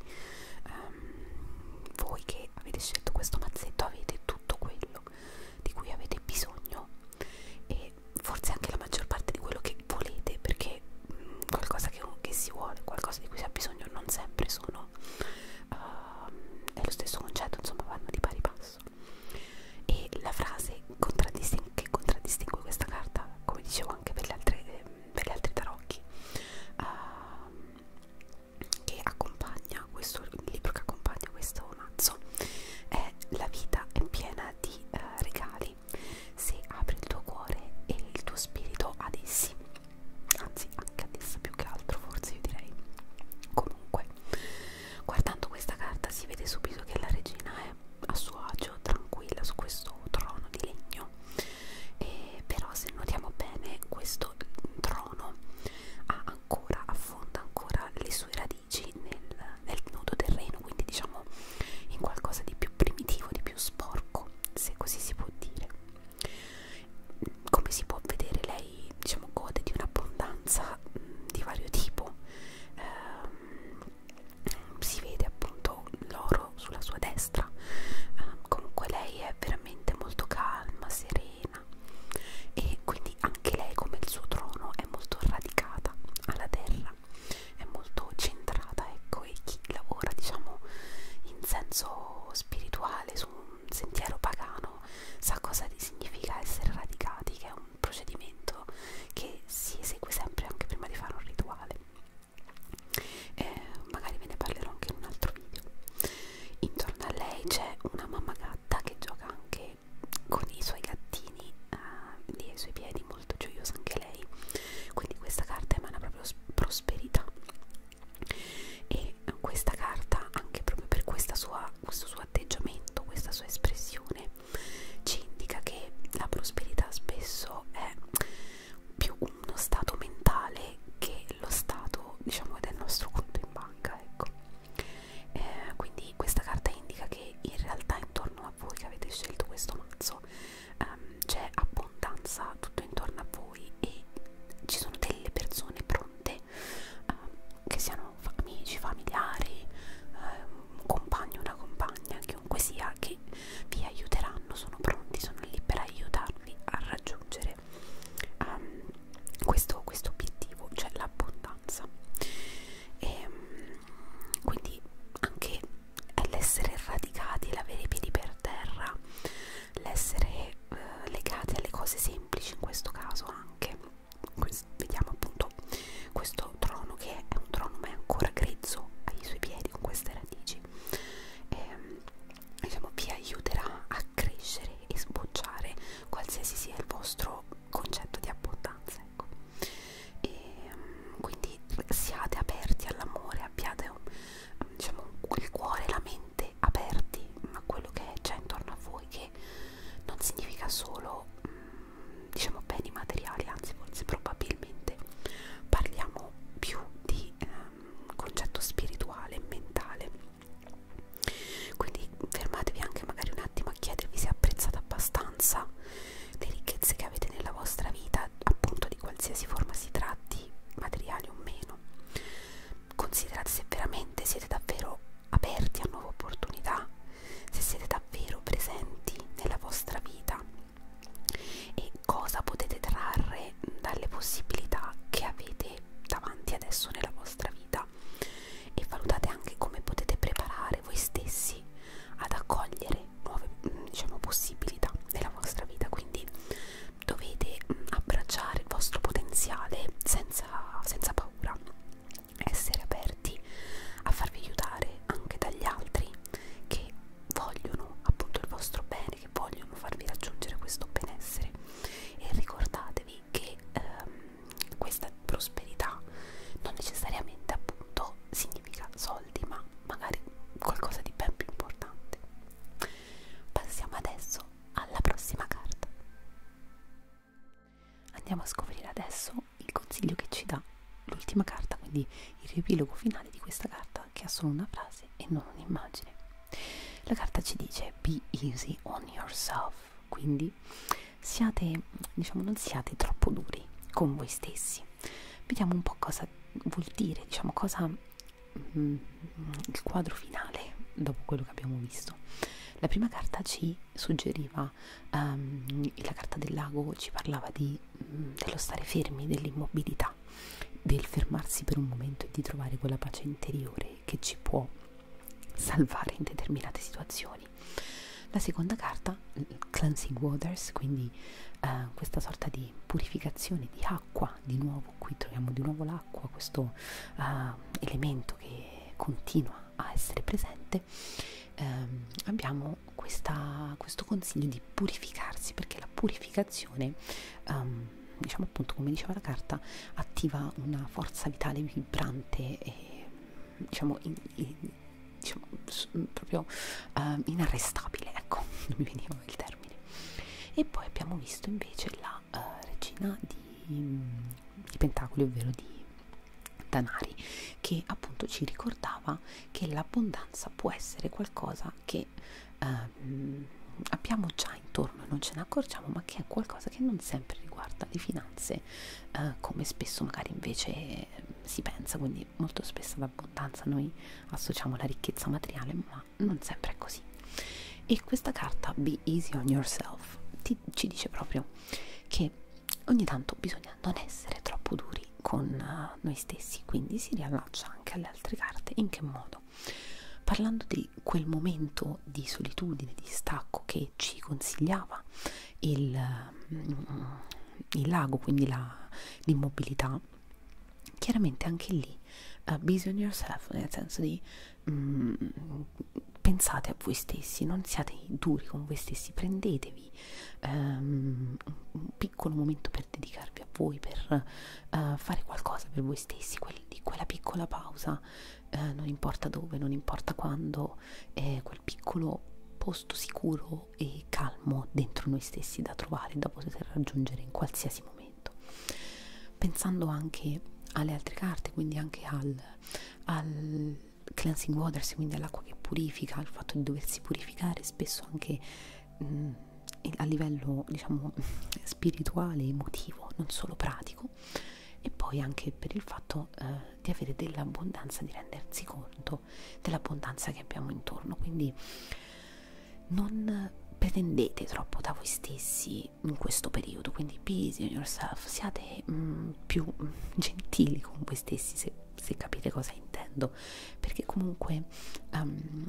ehm, voi che avete scelto questo mazzetto avete tutto quello di cui avete bisogno e forse anche la maggior parte di quello che volete perché mh, mm, qualcosa che, che si vuole, qualcosa di cui si ha bisogno non sempre sono farlo uh, ehm, è lo stesso concetto insomma vanno di pari passo e la frase contraddistingue, che contraddistingue questa carta come dicevo anche per, le altre, ehm, per gli altri tarocchi uh, che accompagna questo il libro che accompagna questo mazzo è la vita è piena di uh, regali se apri il tuo cuore e il tuo spirito ad essi anzi anche adesso più che altro forse io direi comunque guardando questa carta si vede subito che la regina è a suo agio tranquilla su questo trono di legno e però se notiamo bene questo trono ha ancora affonda ancora le sue radici nel, nel nudo terreno quindi diciamo in qualcosa di più primitivo di più sporco se così si può dire come si può vedere lei diciamo gode di un'abbondanza di vario tipo eh, si vede appunto l'oro sulla sua destra eh, comunque lei è veramente molto calma serena e quindi anche lei come il suo trono è molto radicata alla terra è molto centrata ecco e chi lavora diciamo in senso spirituale su sentiero pagano sa cosa significa essere radicati, che è un procedimento che si esegue sempre anche prima di fare un rituale. Eh, magari ve ne parlerò anche in un altro video. Intorno a lei c'è una mamma gatta che gioca anche con i suoi gattini eh, lì ai suoi piedi, molto gioiosa anche lei. Quindi questa carta emana proprio prosperità e questa carta anche proprio per questa sua, questo suo atteggiamento questa sua espressione ci indica che la prosperità spesso è più uno stato mentale che lo stato diciamo del nostro conto in banca ecco eh, quindi questa carta indica che in realtà intorno a voi che avete scelto questo mazzo ehm, c'è abbondanza tutto intorno a voi lui e ci sono delle persone pronte eh, che siano amici, familiari, eh, un compagno, una compagna, chiunque sia, che vi aiuteranno, sono pronti, sono lì per aiutarvi a raggiungere um, questo, questo obiettivo, cioè l'abbondanza. E, ehm, quindi anche l'essere radicati, l'avere i piedi per terra, l'essere eh, legati alle cose semplici in questo caso anche questo, vediamo appunto questo trono che è un trono ma è ancora grezzo ai suoi piedi con queste radici e, ehm, diciamo vi aiuterà a crescere e sbocciare qualsiasi sia il vostro concetto di abbondanza ecco e, ehm, quindi siate aperti all'amore abbiate un diciamo, il cuore e la mente aperti a quello che c'è intorno a voi, che non significa solo mh, mm, diciamo beni materiali, anzi forse probabilmente parliamo più di ehm, concetto spirituale e mentale. Quindi fermatevi anche magari un attimo a chiedervi se apprezzate abbastanza le ricchezze che avete nella vostra vita, appunto di qualsiasi forma si tratti, materiali o meno considerate se veramente siete davvero aperti a nuove opportunità, se siete davvero presenti nella vostra vita e cosa potete trarre dalle possibilità che avete davanti adesso nella vostra vita e valutate anche come potete preparare voi stessi ad accogliere nuove diciamo, possibilità nella vostra vita quindi dovete mm, abbracciare il vostro potenziale senza, senza paura, essere aperti a farvi aiutare anche dagli altri che vogliono appunto il vostro bene, che vogliono farvi raggiungere questo benessere e ricordatevi che ehm, questa prosperità non necessariamente appunto significa soldi ma magari qualcosa di ben più importante passiamo adesso alla prossima carta. Andiamo a scoprire adesso il consiglio che ci dà l'ultima carta, quindi il riepilogo finale di questa carta che ha solo una frase e non un'immagine. La carta ci dice be easy on yourself, quindi siate, diciamo, non siate troppo duri con voi stessi. Vediamo un po' cosa vuol dire, diciamo, cosa Mm, il quadro finale dopo quello che abbiamo visto. La prima carta ci suggeriva, um, la carta del lago ci parlava di, um, dello stare fermi, dell'immobilità, del fermarsi per un momento e di trovare quella pace interiore che ci può salvare in determinate situazioni. La seconda carta, Cleansing Waters, quindi uh, questa sorta di purificazione di acqua di nuovo qui troviamo di nuovo l'acqua, questo uh, elemento che continua a essere presente, um, abbiamo questa, questo consiglio di purificarsi perché la purificazione, um, diciamo appunto come diceva la carta, attiva una forza vitale vibrante e diciamo, in, in, diciamo proprio uh, inarrestabile, ecco, non mi veniva il termine. E poi abbiamo visto invece la uh, regina di di, di pentacoli, ovvero di danari, che appunto ci ricordava che l'abbondanza può essere qualcosa che eh, abbiamo già intorno e non ce ne accorgiamo, ma che è qualcosa che non sempre riguarda le finanze, eh, come spesso magari invece eh, si pensa, quindi molto spesso l'abbondanza noi associamo alla ricchezza materiale, ma non sempre è così. E questa carta, Be Easy on Yourself, ti, ci dice proprio che ogni tanto bisogna non essere troppo duri con eh, noi stessi, quindi si riallaccia anche alle altre carte. In che modo? Parlando di quel momento di solitudine, di stacco che ci consigliava il, mm, il lago, quindi l'immobilità, la, chiaramente anche lì, uh, eh, busy on yourself, nel senso di mm, pensate a voi stessi, non siate duri con voi stessi, prendetevi um, un piccolo momento per dedicarvi a voi, per uh, fare qualcosa per voi stessi, quel, di quella piccola pausa, uh, non importa dove, non importa quando, eh, quel piccolo posto sicuro e calmo dentro noi stessi da trovare, da poter raggiungere in qualsiasi momento argomento pensando anche alle altre carte quindi anche al, al cleansing waters quindi all'acqua che purifica al fatto di doversi purificare spesso anche mh, mm, a livello diciamo spirituale emotivo non solo pratico e poi anche per il fatto eh, di avere dell'abbondanza di rendersi conto dell'abbondanza che abbiamo intorno quindi non pretendete troppo da voi stessi quindi in questo periodo, quindi busy on yourself, siate mm, più mm, gentili con voi stessi se, se capite cosa intendo, perché comunque um,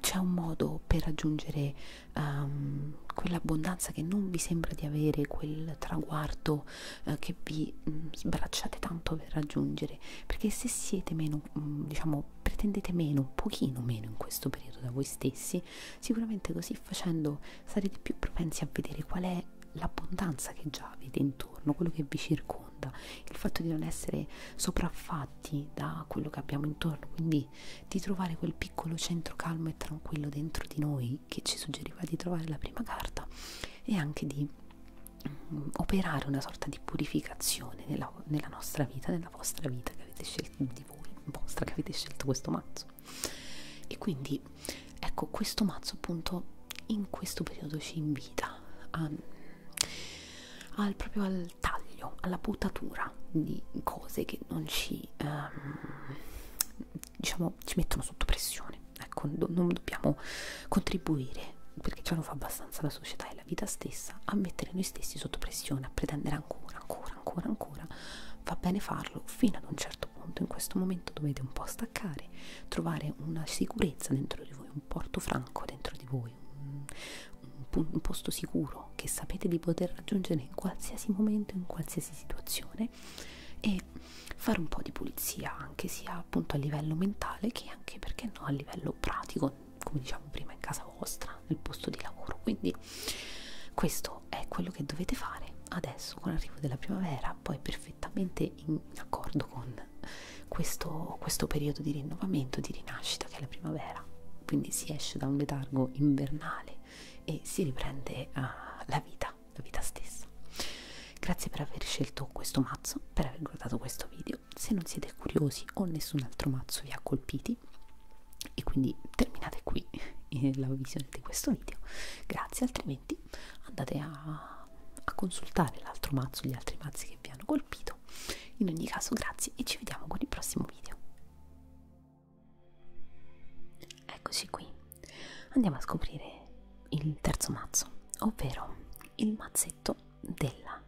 c'è un modo per raggiungere um, quell'abbondanza che non vi sembra di avere, quel traguardo uh, che vi um, sbracciate tanto per raggiungere, perché se siete meno, um, diciamo, pretendete meno, un pochino meno in questo periodo da voi stessi, Sicuramente così facendo sarete più propensi a vedere qual è l'abbondanza che già avete intorno, quello che vi circonda, il fatto di non essere sopraffatti da quello che abbiamo intorno, quindi di trovare quel piccolo centro calmo e tranquillo dentro di noi che ci suggeriva di trovare la prima carta e anche di um, operare una sorta di purificazione nella, nella nostra vita, nella vostra vita che avete scelto di di voi, vostra che avete scelto questo mazzo. E quindi ecco questo mazzo appunto in questo periodo ci invita a, al, proprio al taglio, alla buttatura di cose che non ci um, diciamo ci mettono sotto pressione. Ecco, do, non dobbiamo contribuire perché ce lo fa abbastanza la società e la vita stessa a mettere noi stessi sotto pressione, a pretendere ancora, ancora ancora, ancora, ancora, va bene farlo fino ad un certo punto. In questo momento dovete un po' staccare, trovare una sicurezza dentro di voi, un porto franco dentro di voi, un, un, un posto sicuro che sapete di poter raggiungere in qualsiasi momento, in qualsiasi situazione e fare un po' di pulizia anche sia appunto a livello mentale che anche perché no a livello pratico come diciamo prima in casa vostra sarà nel posto di lavoro quindi questo è quello che dovete fare adesso con l'arrivo della primavera poi perfettamente in accordo con questo, questo periodo di rinnovamento di rinascita che è la primavera quindi si esce da un letargo invernale e si riprende uh, la vita la vita stessa grazie per aver scelto questo mazzo per aver guardato questo video se non siete curiosi o nessun altro mazzo vi ha colpiti e quindi terminate qui eh, la visione di questo video grazie altrimenti andate a, a consultare l'altro mazzo gli altri mazzi che vi hanno colpito in ogni caso grazie e ci vediamo con il prossimo video eccoci qui andiamo a scoprire il terzo mazzo ovvero il mazzetto della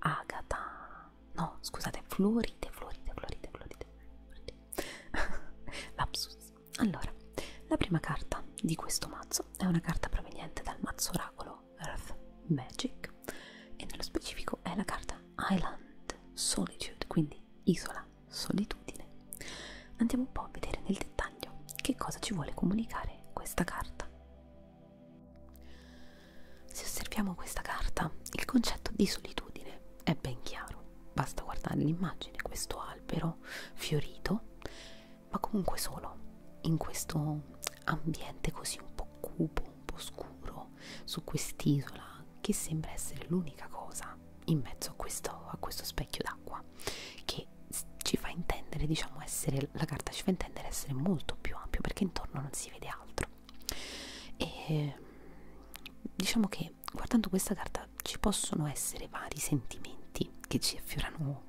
agata no scusate Floride Floride Floride Floride, floride. lapsus allora la prima carta di questo mazzo è una carta proveniente dal mazzo oracolo Earth Magic e nello specifico è la carta Island Solitude quindi isola solitudine andiamo un po' a vedere nel dettaglio che cosa ci vuole comunicare questa carta se osserviamo questa carta, il concetto di solitudine è ben chiaro, basta guardare l'immagine, questo albero fiorito, ma comunque solo in questo ambiente così un po' cupo, un po' scuro, su quest'isola che sembra essere l'unica cosa in mezzo a questo, a questo specchio d'acqua che ci fa intendere, diciamo, essere la carta ci fa intendere essere molto più ampio perché intorno non si vede altro e diciamo che guardando questa carta ci possono essere vari sentimenti che ci affiorano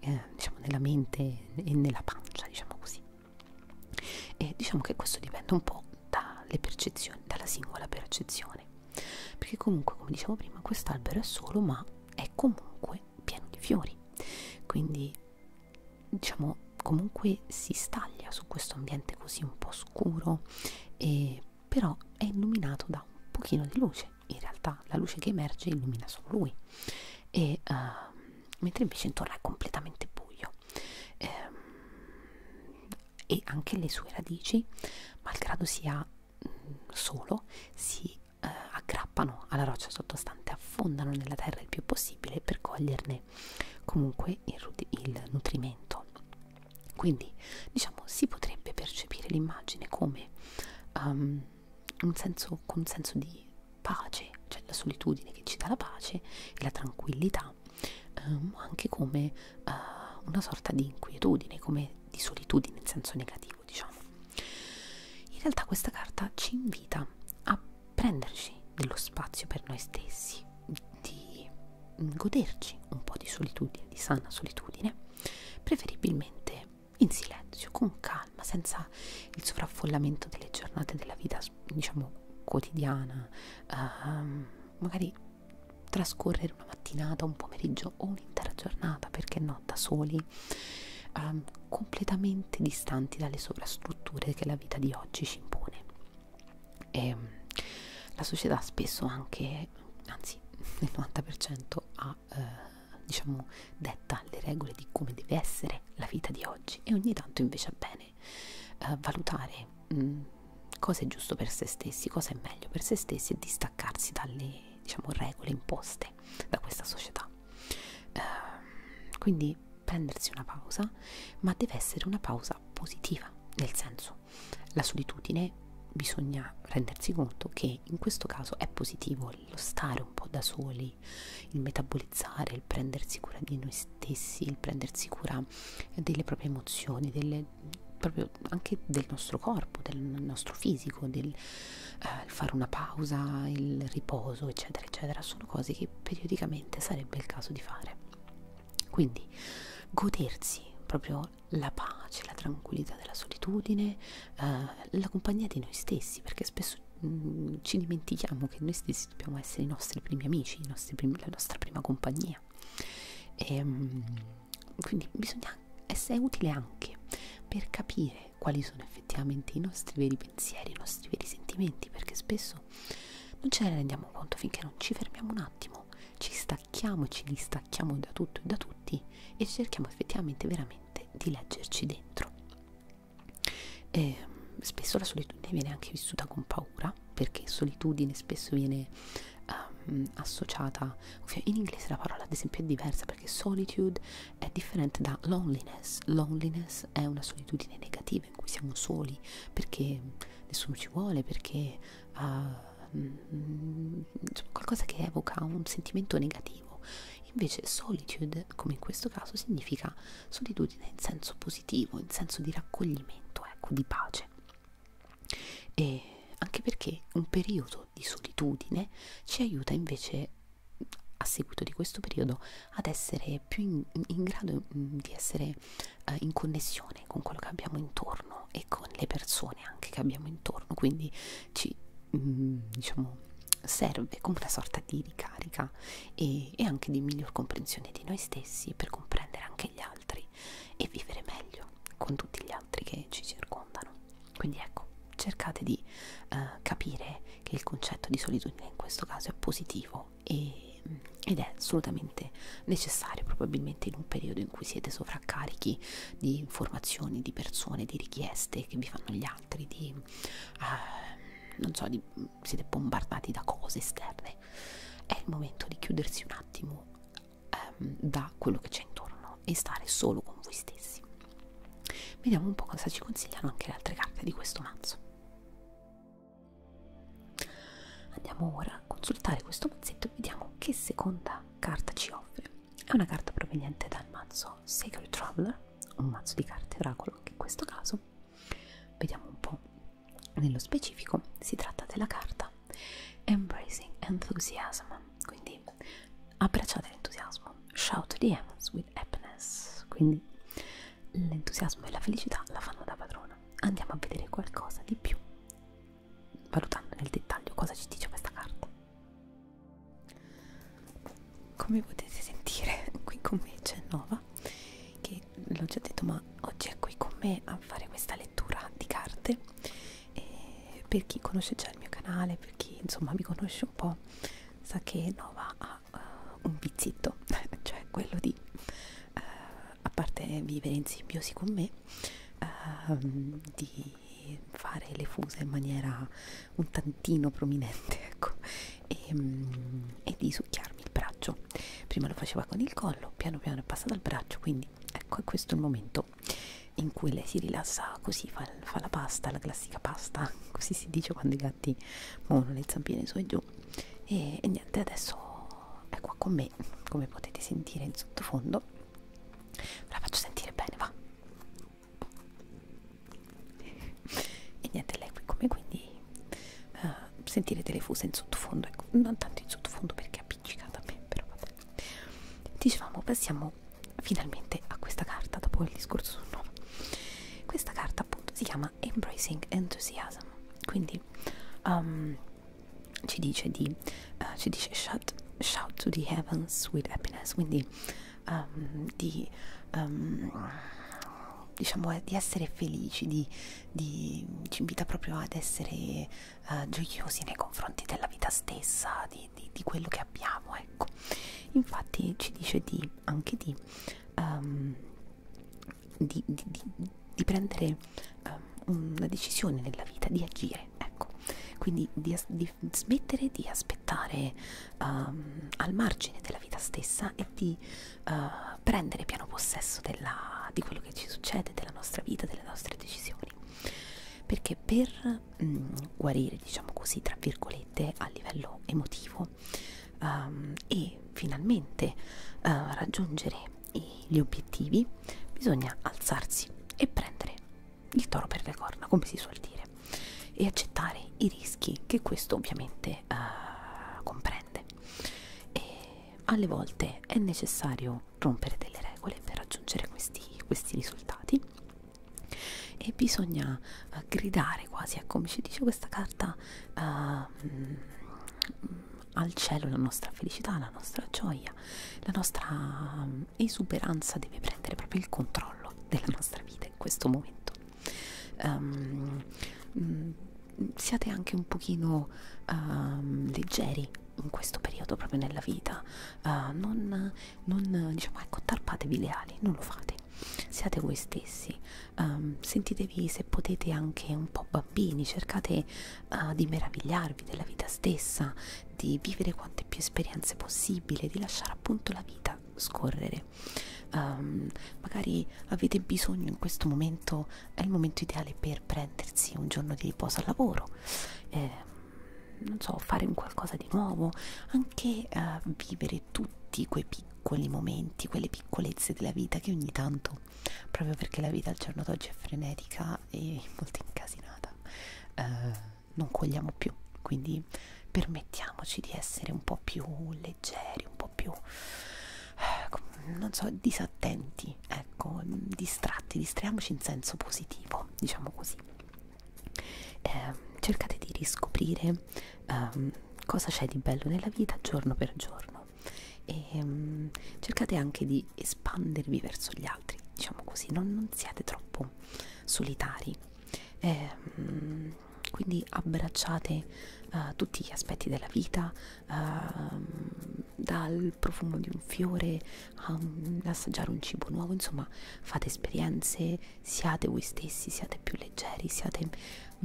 eh, diciamo nella mente e nella pancia diciamo così e diciamo che questo dipende un po' dalle percezioni dalla singola percezione perché comunque come dicevo prima quest'albero è solo ma è comunque pieno di fiori quindi diciamo comunque si staglia su questo ambiente così un po' scuro e però è illuminato da un pochino di luce in realtà la luce che emerge illumina solo lui e, uh, mentre invece intorno è completamente buio ehm, e anche le sue radici malgrado sia mh, mm, solo si uh, aggrappano alla roccia sottostante affondano nella terra il più possibile per coglierne mangiare comunque il, il nutrimento quindi diciamo si potrebbe percepire l'immagine come um, un, senso, un senso di pace cioè la solitudine che ci dà la pace e la tranquillità ma um, anche come uh, una sorta di inquietudine come di solitudine in senso negativo diciamo in realtà questa carta ci invita a prenderci dello spazio per noi stessi di goderci un po' di solitudine, di sana solitudine, preferibilmente in silenzio, con calma, senza il sovraffollamento delle giornate della vita, diciamo, quotidiana, uh, magari trascorrere una mattinata, un pomeriggio o un'intera giornata, perché no, da soli, uh, completamente distanti dalle sovrastrutture che la vita di oggi ci impone e mm, la società spesso anche, anzi nel 90% ha eh, diciamo detta le regole di come deve essere la vita di oggi e ogni tanto invece è bene eh, valutare mh, mm, cosa è giusto per se stessi, cosa è meglio per se stessi e distaccarsi dalle diciamo, regole imposte da questa società. Eh, quindi prendersi una pausa, ma deve essere una pausa cosa positiva, nel senso la solitudine bisogna rendersi conto che in questo caso è positivo lo stare un po' da soli, il metabolizzare, il prendersi cura di noi stessi, il prendersi cura delle proprie emozioni, delle, proprio anche del nostro corpo, del nostro fisico, del eh, fare una pausa, il riposo, eccetera, eccetera, sono cose che periodicamente sarebbe il caso di fare. Quindi godersi proprio la pace, la tranquillità della solitudine, eh, la compagnia di noi stessi, perché spesso mh, mm, ci dimentichiamo che noi stessi dobbiamo essere i nostri primi amici, i nostri primi, la nostra prima compagnia. E, ehm, mh, quindi bisogna essere utile anche per capire quali sono effettivamente i nostri veri pensieri, i nostri veri sentimenti, perché spesso adesso non ce ne rendiamo conto finché non ci fermiamo un attimo ci stacchiamo ci distacchiamo da tutto e da tutti e cerchiamo effettivamente veramente di leggerci dentro e spesso la solitudine viene anche vissuta con paura perché solitudine spesso viene um, associata in inglese la parola ad esempio è diversa perché solitude è differente da loneliness loneliness è una solitudine negativa negative in cui siamo soli, perché nessuno ci vuole, perché uh, ah, mh, mm, qualcosa che evoca un sentimento negativo. Invece solitude, come in questo caso, significa solitudine in senso positivo, in senso di raccoglimento, ecco, di pace. E anche perché un periodo di solitudine ci aiuta invece a seguito di questo periodo ad essere più in, in grado mm, di essere eh, in connessione con quello che abbiamo intorno e con le persone anche che abbiamo intorno quindi ci mh, mm, diciamo serve come una sorta di ricarica e, e anche di miglior comprensione di noi stessi per comprendere anche gli altri e vivere meglio con tutti gli altri che ci circondano quindi ecco cercate di eh, capire che il concetto di solitudine in questo caso è positivo e, ed è assolutamente necessario probabilmente in un periodo in cui siete sovraccarichi di informazioni, di persone, di richieste che vi fanno gli altri, di, uh, non so, di, siete bombardati da cose esterne. È il momento di chiudersi un attimo um, da quello che c'è intorno e stare solo con voi stessi. Vediamo un po' cosa ci consigliano anche le altre carte di questo mazzo. Andiamo ora a consultare questo mazzetto e vediamo che seconda carta ci offre. È una carta proveniente dal mazzo Sacred Traveler, un mazzo di carte oracolo anche in questo caso. Vediamo un po' nello specifico, si tratta della carta Embracing Enthusiasm, quindi abbracciate l'entusiasmo, shout the heavens with happiness, quindi l'entusiasmo e la felicità la fanno da padrona. Andiamo a vedere qualcosa di più valutando nel dettaglio cosa ci dice questa carta. Come potete sentire, qui con me c'è Nova, che l'ho già detto, ma oggi è qui con me a fare questa lettura di carte. E per chi conosce già il mio canale, per chi insomma mi conosce un po', sa che Nova ha uh, un vizietto, cioè quello di uh, a parte vivere in simbiosi con me, ehm, di fare le fuse in maniera un tantino prominente ecco, e, ehm, e di succhiarmi il braccio. Prima lo faceva con il collo, piano piano è passato al braccio, quindi ecco è questo il momento in cui lei si rilassa così, fa, fa la pasta, la classica pasta, così si dice quando i gatti muovono le zampine su e giù. E, e niente, adesso è qua con me come potete sentire in sottofondo ve la faccio sentire bene va e niente lei qui come quindi uh, sentirete le fuse in sottofondo ecco, non tanto in sottofondo perché è appiccicata a me però vabbè dicevamo passiamo finalmente a questa carta dopo il discorso sul nome questa carta appunto si chiama Embracing Enthusiasm quindi um, ci dice di uh, ci dice shout, shout to the heavens with happiness quindi um, di um, diciamo eh, di essere felici di, di, ci invita proprio ad essere uh, gioiosi nei confronti della vita stessa di, di, di quello che abbiamo ecco infatti ci dice di, anche di um, di, di, di, di prendere um, una decisione nella vita, di agire, ecco. Quindi di, di smettere di aspettare um, al margine della vita stessa e di uh, prendere piano possesso della, di quello che ci succede, della nostra vita, delle nostre decisioni. Perché per mm, guarire, diciamo così, tra virgolette, a livello emotivo um, e finalmente uh, raggiungere e gli obiettivi, bisogna alzarsi e prendere il toro per le corna, come si suol dire, e accettare i rischi che questo ovviamente uh, comprende. E alle volte è necessario rompere delle regole per raggiungere questi, questi risultati e bisogna uh, gridare quasi, ecco, mi ci dice questa carta, uh, al cielo la nostra felicità, la nostra gioia, la nostra mm, esuberanza deve prendere proprio il controllo della nostra vita in questo momento. Um, siate anche un pochino um, leggeri in questo periodo proprio nella vita, uh, non, non diciamo ecco tarpatevi le ali, non lo fate, siate voi stessi, um, sentitevi se potete anche un po' bambini, cercate uh, di meravigliarvi della vita stessa, di vivere quante più esperienze possibile, di lasciare appunto la vita scorrere. Um, magari avete bisogno in questo momento, è il momento ideale per prendersi un giorno di riposo al lavoro. Eh, non so, fare un qualcosa di nuovo, anche uh, vivere tutti quei piccoli momenti, quelle piccolezze della vita che ogni tanto proprio perché la vita al giorno d'oggi è frenetica e molto incasinata eh, non cogliamo più quindi permettiamoci di essere un po' più leggeri un po' più eh, non so disattenti ecco distratti distraiamoci in senso positivo diciamo così eh, cercate di riscoprire eh, cosa c'è di bello nella vita giorno per giorno e um, cercate anche di espandervi verso gli altri, diciamo così, non, non siate troppo solitari. E, um, quindi abbracciate uh, tutti gli aspetti della vita, uh, dal profumo di un fiore a um, assaggiare un cibo nuovo, insomma fate esperienze, siate voi stessi, siate più leggeri, siate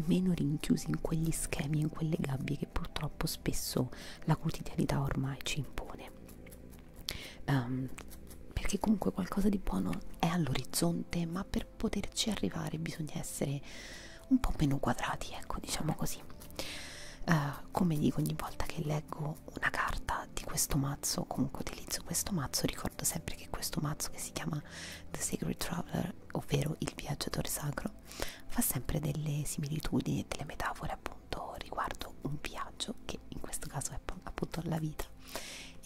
meno rinchiusi in quegli schemi, in quelle gabbie che purtroppo spesso la quotidianità ormai ci impone um, perché comunque qualcosa di buono è all'orizzonte ma per poterci arrivare bisogna essere un po' meno quadrati ecco diciamo così uh, come dico ogni volta che leggo una carta di questo mazzo comunque utilizzo questo mazzo ricordo sempre che questo mazzo che si chiama The Sacred Traveler ovvero il viaggiatore sacro fa sempre delle similitudini e delle metafore appunto appunto riguardo un viaggio che in questo caso è appunto la vita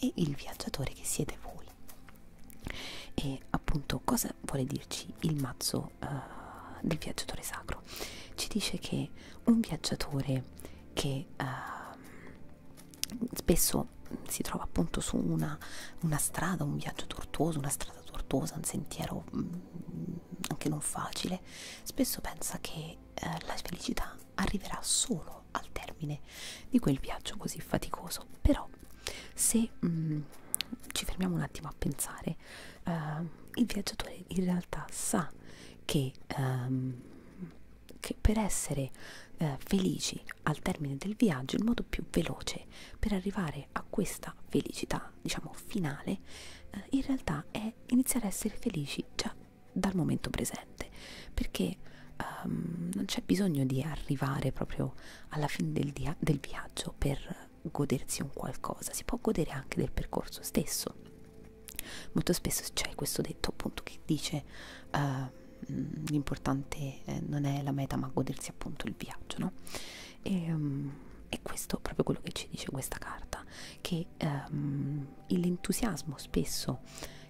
e il viaggiatore che siete voi e appunto cosa vuole dirci il mazzo uh, del viaggiatore sacro ci dice che un viaggiatore che uh, spesso si trova appunto su una, una strada un viaggio tortuoso una strada tortuosa un sentiero mh, mm, anche non facile, spesso pensa che eh, la felicità arriverà solo al termine di quel viaggio così faticoso. Però se mh, mm, ci fermiamo un attimo a pensare, eh, il viaggiatore in realtà sa che, ehm, che per essere eh, felici al termine del viaggio il modo più veloce per arrivare arrivare a questa felicità, diciamo finale, eh, in realtà è iniziare a essere felici già dal momento presente, perché um, non c'è bisogno di arrivare proprio alla fine del, del viaggio per godersi un qualcosa, si può godere anche del percorso stesso. Molto spesso c'è questo detto appunto che dice uh, l'importante eh, non è la meta ma godersi appunto il viaggio, no? E, um, e questo è proprio quello che ci dice questa carta, che um, l'entusiasmo spesso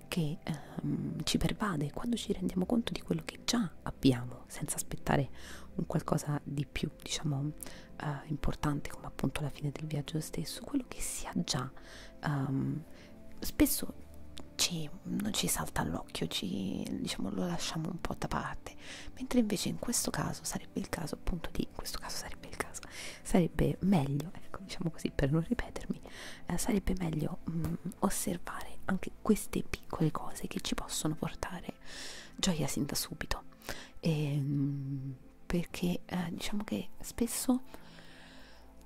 che um, ci pervade quando ci rendiamo conto di quello che già abbiamo, senza aspettare un qualcosa di più, diciamo, uh, importante come appunto la fine del viaggio stesso, quello che si ha già, um, spesso ci, non ci salta all'occhio, diciamo, lo lasciamo un po' da parte, mentre invece in questo caso sarebbe il caso appunto di in questo caso sarebbe il caso sarebbe meglio ecco diciamo così per non ripetermi eh, sarebbe meglio mh, mm, osservare anche queste piccole cose che ci possono portare gioia sin da subito e, ehm, mh, perché eh, diciamo che spesso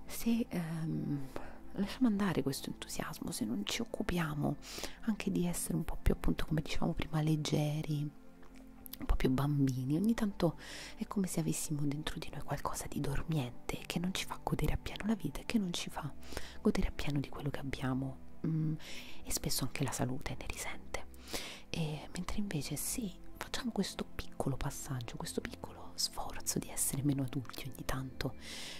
se ehm, lasciamo andare questo entusiasmo se non ci occupiamo anche di essere un po' più appunto come dicevamo prima leggeri un po' più bambini, ogni tanto è come se avessimo dentro di noi qualcosa di dormiente che non ci fa godere appieno la vita e che non ci fa godere appieno di quello che abbiamo mm, e spesso anche la salute ne risente. E, mentre invece sì, facciamo questo piccolo passaggio, questo piccolo sforzo di essere meno adulti ogni tanto,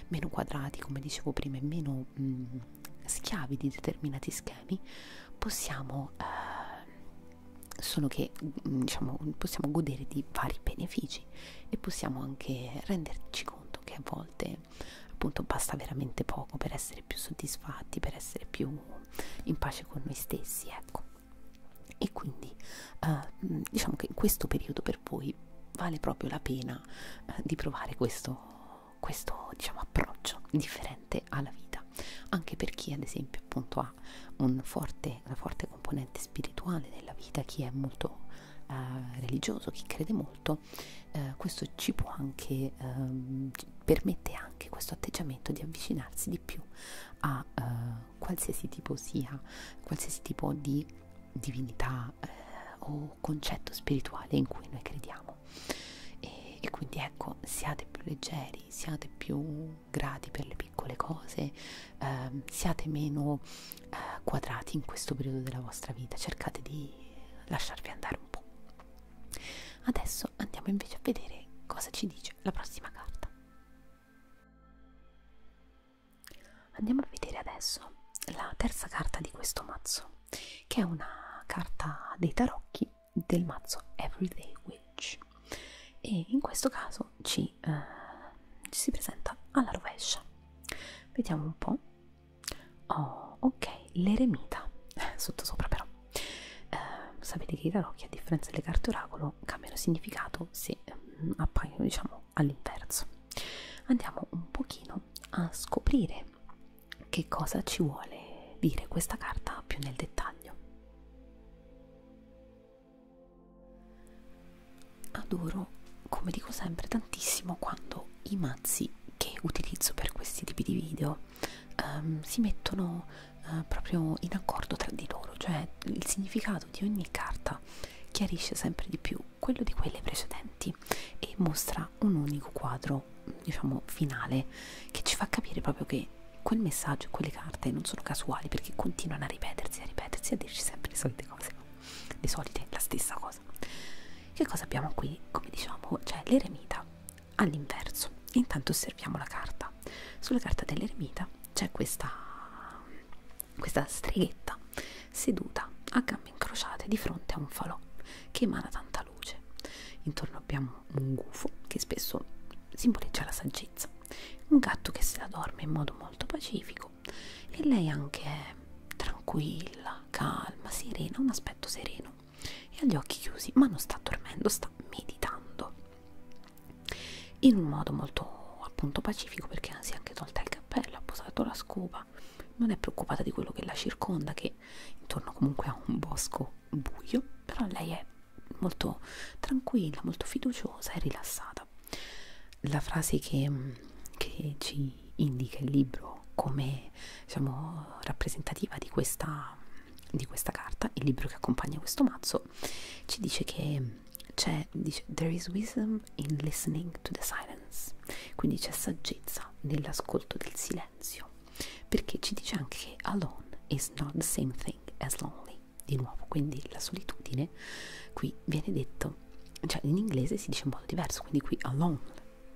meno quadrati come dicevo prima e meno mm, schiavi di determinati schemi possiamo eh, solo che mm, diciamo possiamo godere di vari benefici e possiamo anche renderci conto che a volte appunto basta veramente poco per essere più soddisfatti per essere più in pace con noi stessi ecco e quindi eh, mm, diciamo che in questo periodo per voi vale proprio la pena eh, di provare questo questo diciamo approccio differente alla vita anche per chi ad esempio appunto ha un forte, una forte componente spirituale nella vita chi è molto eh, religioso chi crede molto eh, questo ci può anche ehm, permette anche questo atteggiamento di avvicinarsi di più a eh, qualsiasi tipo sia qualsiasi tipo di divinità eh, o concetto spirituale in cui noi crediamo ecco e, e quindi ecco siate più leggeri siate più grati per le piccole cose ehm, siate meno eh, quadrati in questo periodo della vostra vita cercate di lasciarvi andare un po' adesso andiamo invece a vedere cosa ci dice la prossima carta andiamo a vedere adesso la terza carta di questo mazzo che è una carta dei tarocchi del mazzo Everyday Witch e in questo caso ci, eh, ci si presenta alla rovescia vediamo un po' oh ok l'eremita sotto sopra però eh, sapete che i tarocchi a differenza delle carte oracolo cambiano significato se mm, appaiono diciamo all'inverso andiamo un pochino a scoprire che cosa ci vuole dire questa carta più nel dettaglio. Adoro, come dico sempre, tantissimo quando i mazzi che utilizzo per questi tipi di video um, si mettono uh, proprio in accordo tra di loro, cioè il significato di ogni carta chiarisce sempre di più quello di quelle precedenti e mostra un unico quadro diciamo finale che ci fa capire proprio che quel messaggio, quelle carte non sono casuali perché continuano a ripetersi, a ripetersi, a dirci sempre le solite cose, le solite, la stessa cosa. Che cosa abbiamo qui? Come diciamo, c'è l'eremita all'inverso. Intanto osserviamo la carta. Sulla carta dell'eremita c'è questa, questa streghetta seduta a gambe incrociate di fronte a un falò che emana tanta la luce. Intorno abbiamo un gufo che spesso simboleggia la saggezza, un gatto che se la dorme in modo molto pacifico e lei anche è tranquilla, calma, serena, un aspetto sereno e ha gli occhi chiusi, ma non sta dormendo, sta meditando in un modo molto appunto pacifico perché si è anche tolta il cappello, ha posato la scopa, non è preoccupata di quello che la circonda che intorno comunque a un bosco buio, però lei è molto tranquilla, molto fiduciosa e rilassata. La frase che, mm, che ci indica il libro come diciamo, rappresentativa di questa, di questa carta, il libro che accompagna questo mazzo, ci dice che c'è, dice, there is wisdom in listening to the silence, quindi c'è saggezza nell'ascolto del silenzio perché ci dice anche che alone is not the same thing as lonely di nuovo quindi la solitudine qui viene detto cioè in inglese si dice in modo diverso quindi qui alone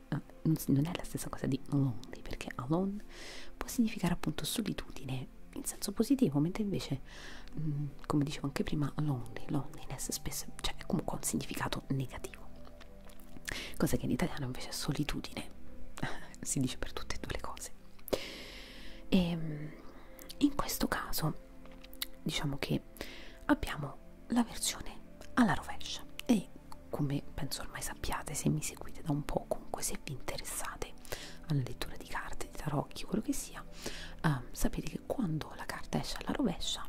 eh, non è la stessa cosa di lonely perché alone può significare appunto solitudine in senso positivo mentre invece mh, mm, come dicevo anche prima lonely loneliness spesso cioè è comunque un significato negativo cosa che in italiano invece è solitudine si dice per tutte e due le cose e ehm, in questo caso diciamo che abbiamo la versione alla rovescia e come penso ormai sappiate se mi seguite da un po' comunque se vi interessate alla lettura di carte, di tarocchi, quello che sia eh, sapete che quando la carta esce alla rovescia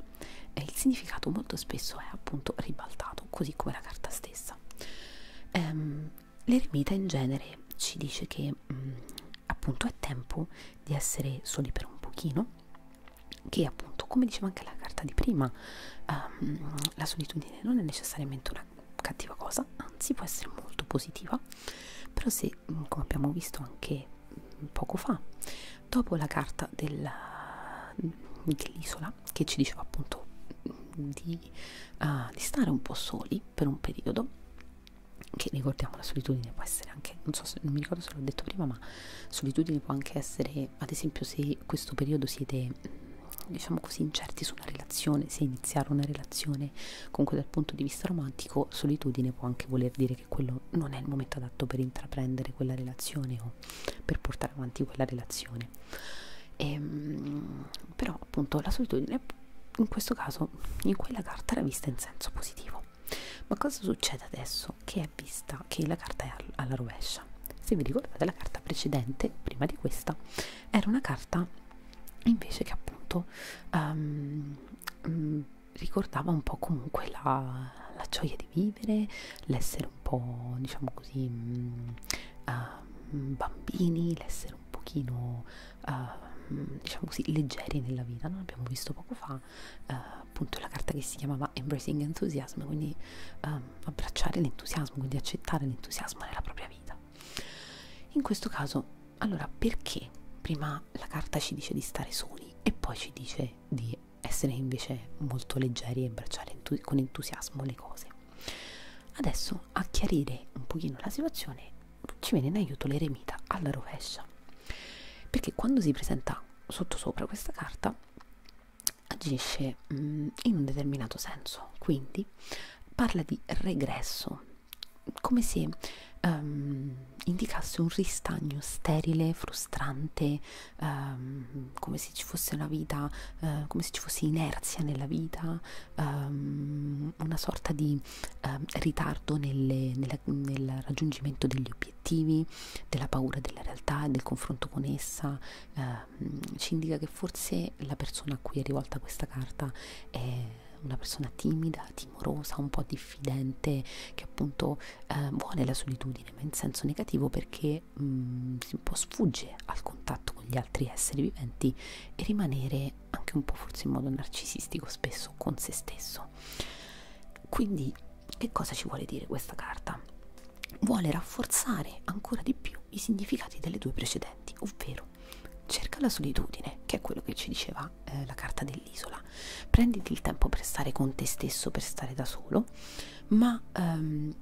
eh, il significato molto spesso è appunto ribaltato così come la carta stessa ehm, l'eremita in genere ci dice che mh, mm, appunto è tempo di essere soli per un pochino che appunto come diceva anche la carta di prima um, la solitudine non è necessariamente una cattiva cosa anzi può essere molto positiva però se mm, come abbiamo visto anche mm, poco fa dopo la carta dell'isola Sara che ci diceva appunto di, uh, di stare un po' soli per un periodo che ricordiamo la solitudine può essere anche non so se non mi ricordo se l'ho detto prima ma solitudine può anche essere ad esempio se questo periodo siete diciamo così incerti su una relazione se iniziare una relazione comunque dal punto di vista romantico solitudine può anche voler dire che quello non è il momento adatto per intraprendere quella relazione o per portare avanti quella relazione e, ehm, però appunto la solitudine in questo caso in quella carta era vista in senso positivo ma cosa succede adesso che è vista che la carta è alla rovescia se vi ricordate la carta precedente prima di questa era una carta invece che appunto um, um, ricordava un po' comunque la, la gioia di vivere l'essere un po' diciamo così um, uh, Mm, bambini, l'essere un pochino uh, diciamo così leggeri nella vita, no? abbiamo visto poco fa uh, appunto la carta che si chiamava Embracing Enthusiasm, quindi um, abbracciare l'entusiasmo, quindi accettare l'entusiasmo nella propria vita. In questo caso, allora perché prima la carta ci dice di stare soli e poi ci dice di essere invece molto leggeri e abbracciare entus con entusiasmo le cose? Adesso a chiarire un pochino la situazione ci viene in aiuto l'eremita alla rovescia, perché quando si presenta sotto sopra questa carta agisce mm, in un determinato senso, quindi parla di regresso, come se um, indicasse un ristagno sterile, frustrante, um, come se ci fosse una vita, uh, come se ci fosse inerzia nella vita, um, una sorta di um, ritardo nelle, nella, nel raggiungimento degli obiettivi, della paura della realtà e del confronto con essa, uh, ci indica che forse la persona a cui è rivolta questa carta è una persona timida, timorosa, un po' diffidente, che appunto eh, vuole la solitudine, ma in senso negativo perché mh, mm, si un po' sfugge al contatto con gli altri esseri viventi e rimanere anche un po' forse in modo narcisistico spesso con se stesso. Quindi che cosa ci vuole dire questa carta? Vuole rafforzare ancora di più i significati delle due precedenti, ovvero cerca la solitudine, che è quello che ci diceva eh, la carta dell'isola. Prenditi il tempo per stare con te stesso, per stare da solo, ma ehm,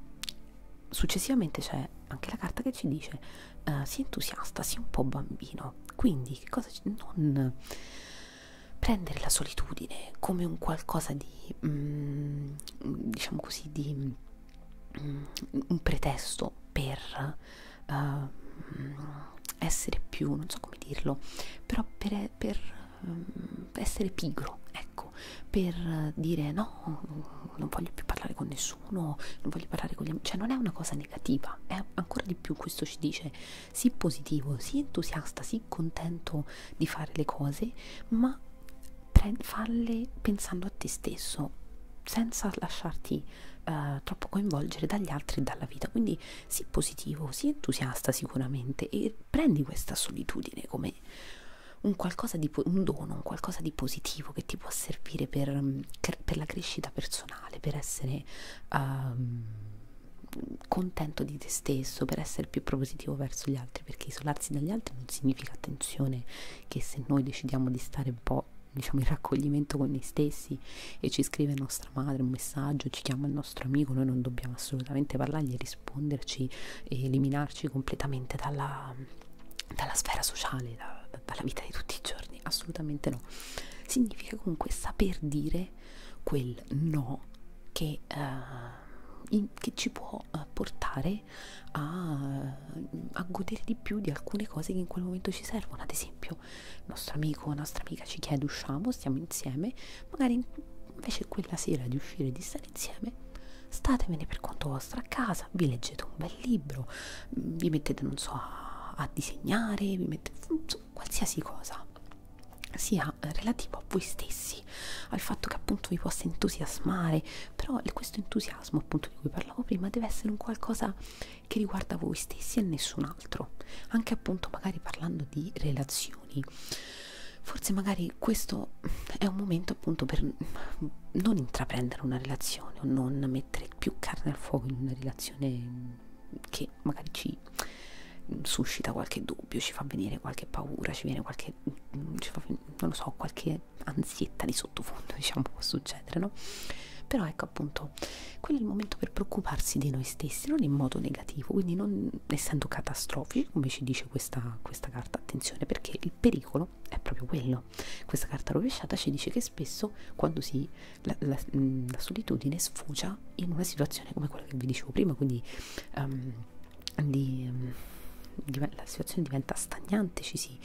successivamente c'è anche la carta che ci dice uh, eh, sii entusiasta, sii un po' bambino. Quindi, che cosa non prendere la solitudine come un qualcosa di mm, diciamo così di mm, un pretesto per uh, essere più, non so come dirlo, però per, per mm, essere pigro, ecco, per dire no, non voglio più parlare con nessuno, non voglio parlare con gli amici, cioè non è una cosa negativa, è ancora di più questo ci dice sii positivo, sii entusiasta, sii contento di fare le cose, ma farle pensando a te stesso senza lasciarti uh, troppo coinvolgere dagli altri e dalla vita quindi sii positivo, sii entusiasta sicuramente e prendi questa solitudine come un qualcosa di un dono, un qualcosa di positivo che ti può servire per, mm, per la crescita personale, per essere um, contento di te stesso, per essere più propositivo verso gli altri, perché isolarsi dagli altri non significa attenzione che se noi decidiamo di stare un po' diciamo in raccoglimento con noi stessi e ci scrive nostra madre un messaggio, ci chiama il nostro amico, noi non dobbiamo assolutamente parlargli e risponderci e eliminarci completamente dalla, dalla sfera sociale, da, dalla vita di tutti i giorni, assolutamente no. Significa comunque saper dire quel no che, uh, in, che ci può uh, portare a, a godere di più di alcune cose che in quel momento ci servono. Ad esempio, il nostro amico o nostra amica ci chiede usciamo, stiamo insieme, magari invece quella sera di uscire e di stare insieme, statemene per conto vostro a casa casa, vi leggete un bel libro, vi mettete, non so, a, a disegnare, vi mettete so, qualsiasi cosa sia relativo a voi stessi, al fatto che appunto vi possa entusiasmare, però questo entusiasmo appunto di cui parlavo prima deve essere un qualcosa che riguarda voi stessi e nessun altro, anche appunto magari parlando di relazioni. Forse magari questo è un momento appunto per non intraprendere una relazione o non mettere più carne al fuoco in una relazione che magari ci suscita qualche dubbio, ci fa venire qualche paura, ci viene qualche, ci fa, non lo so, qualche ansietta di sottofondo, diciamo, può succedere, no? Però ecco appunto, quello è il momento per preoccuparsi di noi stessi, non in modo negativo, quindi non essendo catastrofici, come ci dice questa, questa carta, attenzione, perché il pericolo è proprio quello, No, questa carta rovesciata ci dice che spesso quando si, la, la, mm, la solitudine sfocia in una situazione come quella che vi dicevo prima, quindi um, di, mm, di, la situazione diventa stagnante, ci si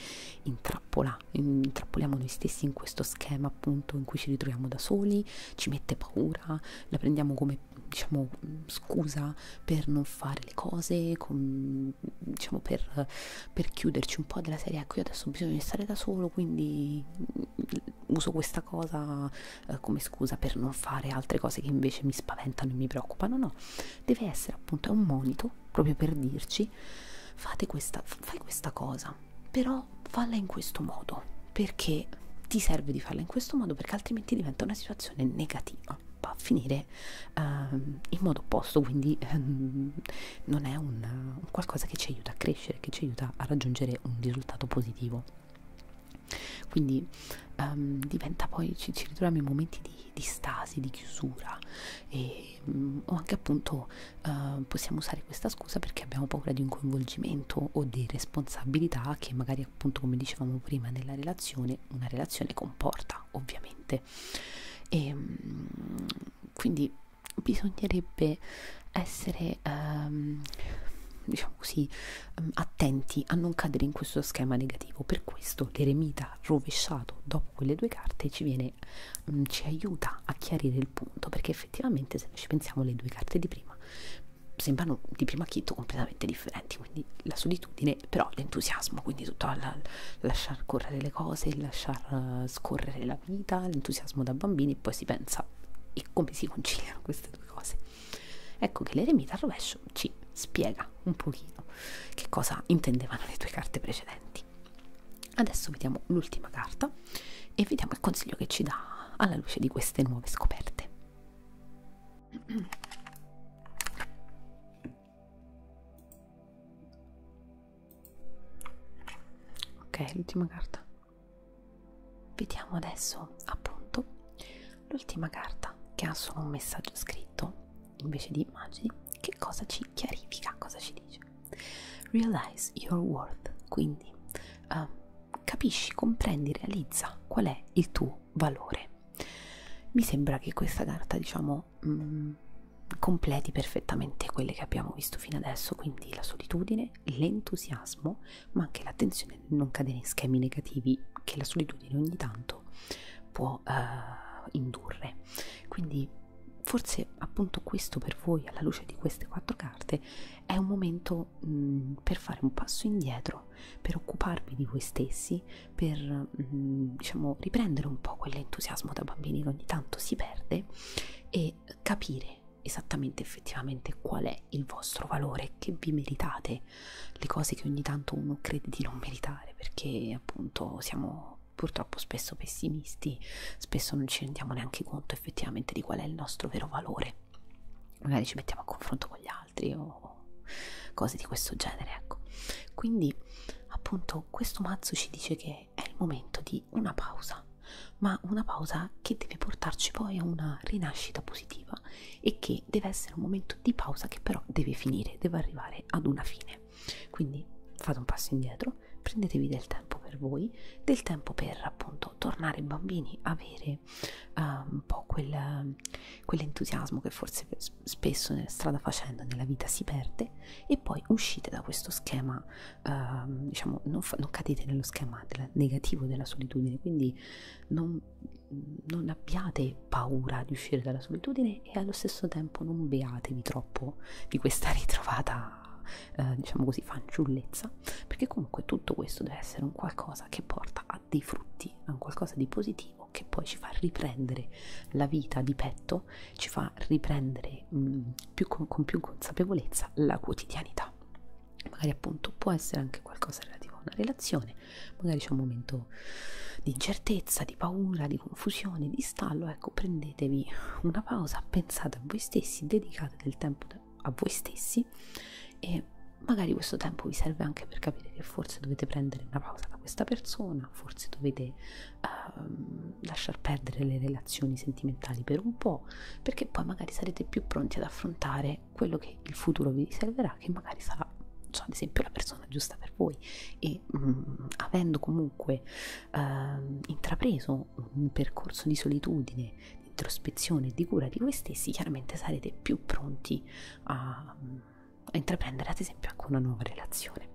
intrappola, intrappoliamo noi stessi in questo schema appunto in cui ci ritroviamo da soli, ci mette paura, la prendiamo come diciamo scusa per non fare le cose, con, diciamo per per chiuderci un po' della serie ecco io adesso ho bisogno di stare da solo quindi mm, uso questa cosa eh, come scusa per non fare altre cose che invece mi spaventano e mi preoccupano no deve essere appunto è un monito proprio per dirci fate questa fai questa cosa però falla in questo modo perché ti serve di farla in questo modo perché altrimenti diventa una situazione negativa va a finire me ehm, in modo opposto, quindi ehm, non è un, un qualcosa che ci aiuta a crescere, che ci aiuta a raggiungere un risultato positivo. Quindi um, diventa poi, ci, ci ritroviamo in momenti di, di stasi, di chiusura e, um, o anche appunto uh, possiamo usare questa scusa perché abbiamo paura di un coinvolgimento o di responsabilità che magari appunto come dicevamo prima nella relazione, una relazione comporta ovviamente. E, um, quindi bisognerebbe essere um, diciamo così um, attenti a non cadere in questo schema negativo per questo l'eremita rovesciato dopo quelle due carte ci viene um, ci aiuta a chiarire il punto perché effettivamente se noi ci pensiamo le due carte di prima sembrano di primo acchito completamente differenti quindi la solitudine però l'entusiasmo quindi tutto al, al lasciar correre le cose lasciar uh, scorrere la vita, l'entusiasmo da bambini e poi si pensa e come si conciliano queste due cose. Ecco che l'eremita al rovescio ci spiega un pochino che cosa intendevano le due carte precedenti. Adesso vediamo l'ultima carta e vediamo il consiglio che ci dà alla luce di queste nuove scoperte. Ok, l'ultima carta. Vediamo adesso appunto l'ultima carta che ha solo un messaggio scritto invece di immagini. Che cosa ci chiarifica? Cosa ci dice? Realize your worth. Quindi uh, capisci, comprendi, realizza qual è il tuo valore. Mi sembra che questa carta, diciamo, sono mm, completi perfettamente quelle che abbiamo visto fino adesso, quindi la solitudine, l'entusiasmo, ma anche l'attenzione nel non cadere in schemi negativi che la solitudine ogni tanto può uh, indurre. Quindi forse appunto questo per voi, alla luce di queste quattro carte, è un momento mh, mm, per fare un passo indietro, per occuparvi di voi stessi, per mh, mm, diciamo riprendere un po' quell'entusiasmo da bambini che ogni tanto si perde e capire esattamente effettivamente qual è il vostro valore che vi meritate le cose che ogni tanto uno crede di non meritare perché appunto siamo purtroppo spesso pessimisti spesso non ci rendiamo neanche conto effettivamente di qual è il nostro vero valore magari ci mettiamo a confronto con gli altri o cose di questo genere ecco quindi appunto questo mazzo ci dice che e è il momento di una pausa, ma una pausa che deve portarci poi a una rinascita positiva e che deve essere un momento di pausa che però deve finire, deve arrivare ad una fine. Quindi fate un passo indietro, prendetevi del tempo per voi, del tempo per appunto tornare bambini, avere uh, un po' quel, quell'entusiasmo che forse spesso nella strada facendo nella vita si perde e poi uscite da questo schema, eh, diciamo, non, non cadete nello schema del negativo della solitudine, quindi non, non abbiate paura di uscire dalla solitudine e allo stesso tempo non beatevi troppo di questa ritrovata. Eh, diciamo così fanciullezza perché comunque tutto questo deve essere un qualcosa che porta a dei frutti a un qualcosa di positivo che poi ci fa riprendere la vita di petto questo ci fa riprendere mh, mm, più con, con più consapevolezza la quotidianità. Magari appunto può essere anche qualcosa relativo a una relazione, magari c'è un momento di incertezza, di paura, di confusione, di stallo, ecco prendetevi una pausa, pensate a voi stessi, dedicate del tempo a voi stessi e magari questo tempo vi serve anche per capire che forse dovete prendere una pausa da questa persona, forse dovete uh, lasciar perdere le relazioni sentimentali per un po', perché poi magari sarete più pronti ad affrontare quello che il futuro vi riserverà, che magari sarà cioè, ad esempio la persona giusta per voi e mh, mm, avendo comunque uh, intrapreso un percorso di solitudine, di introspezione e di cura di voi stessi, chiaramente sarete più pronti a, a intraprendere ad esempio anche una nuova relazione.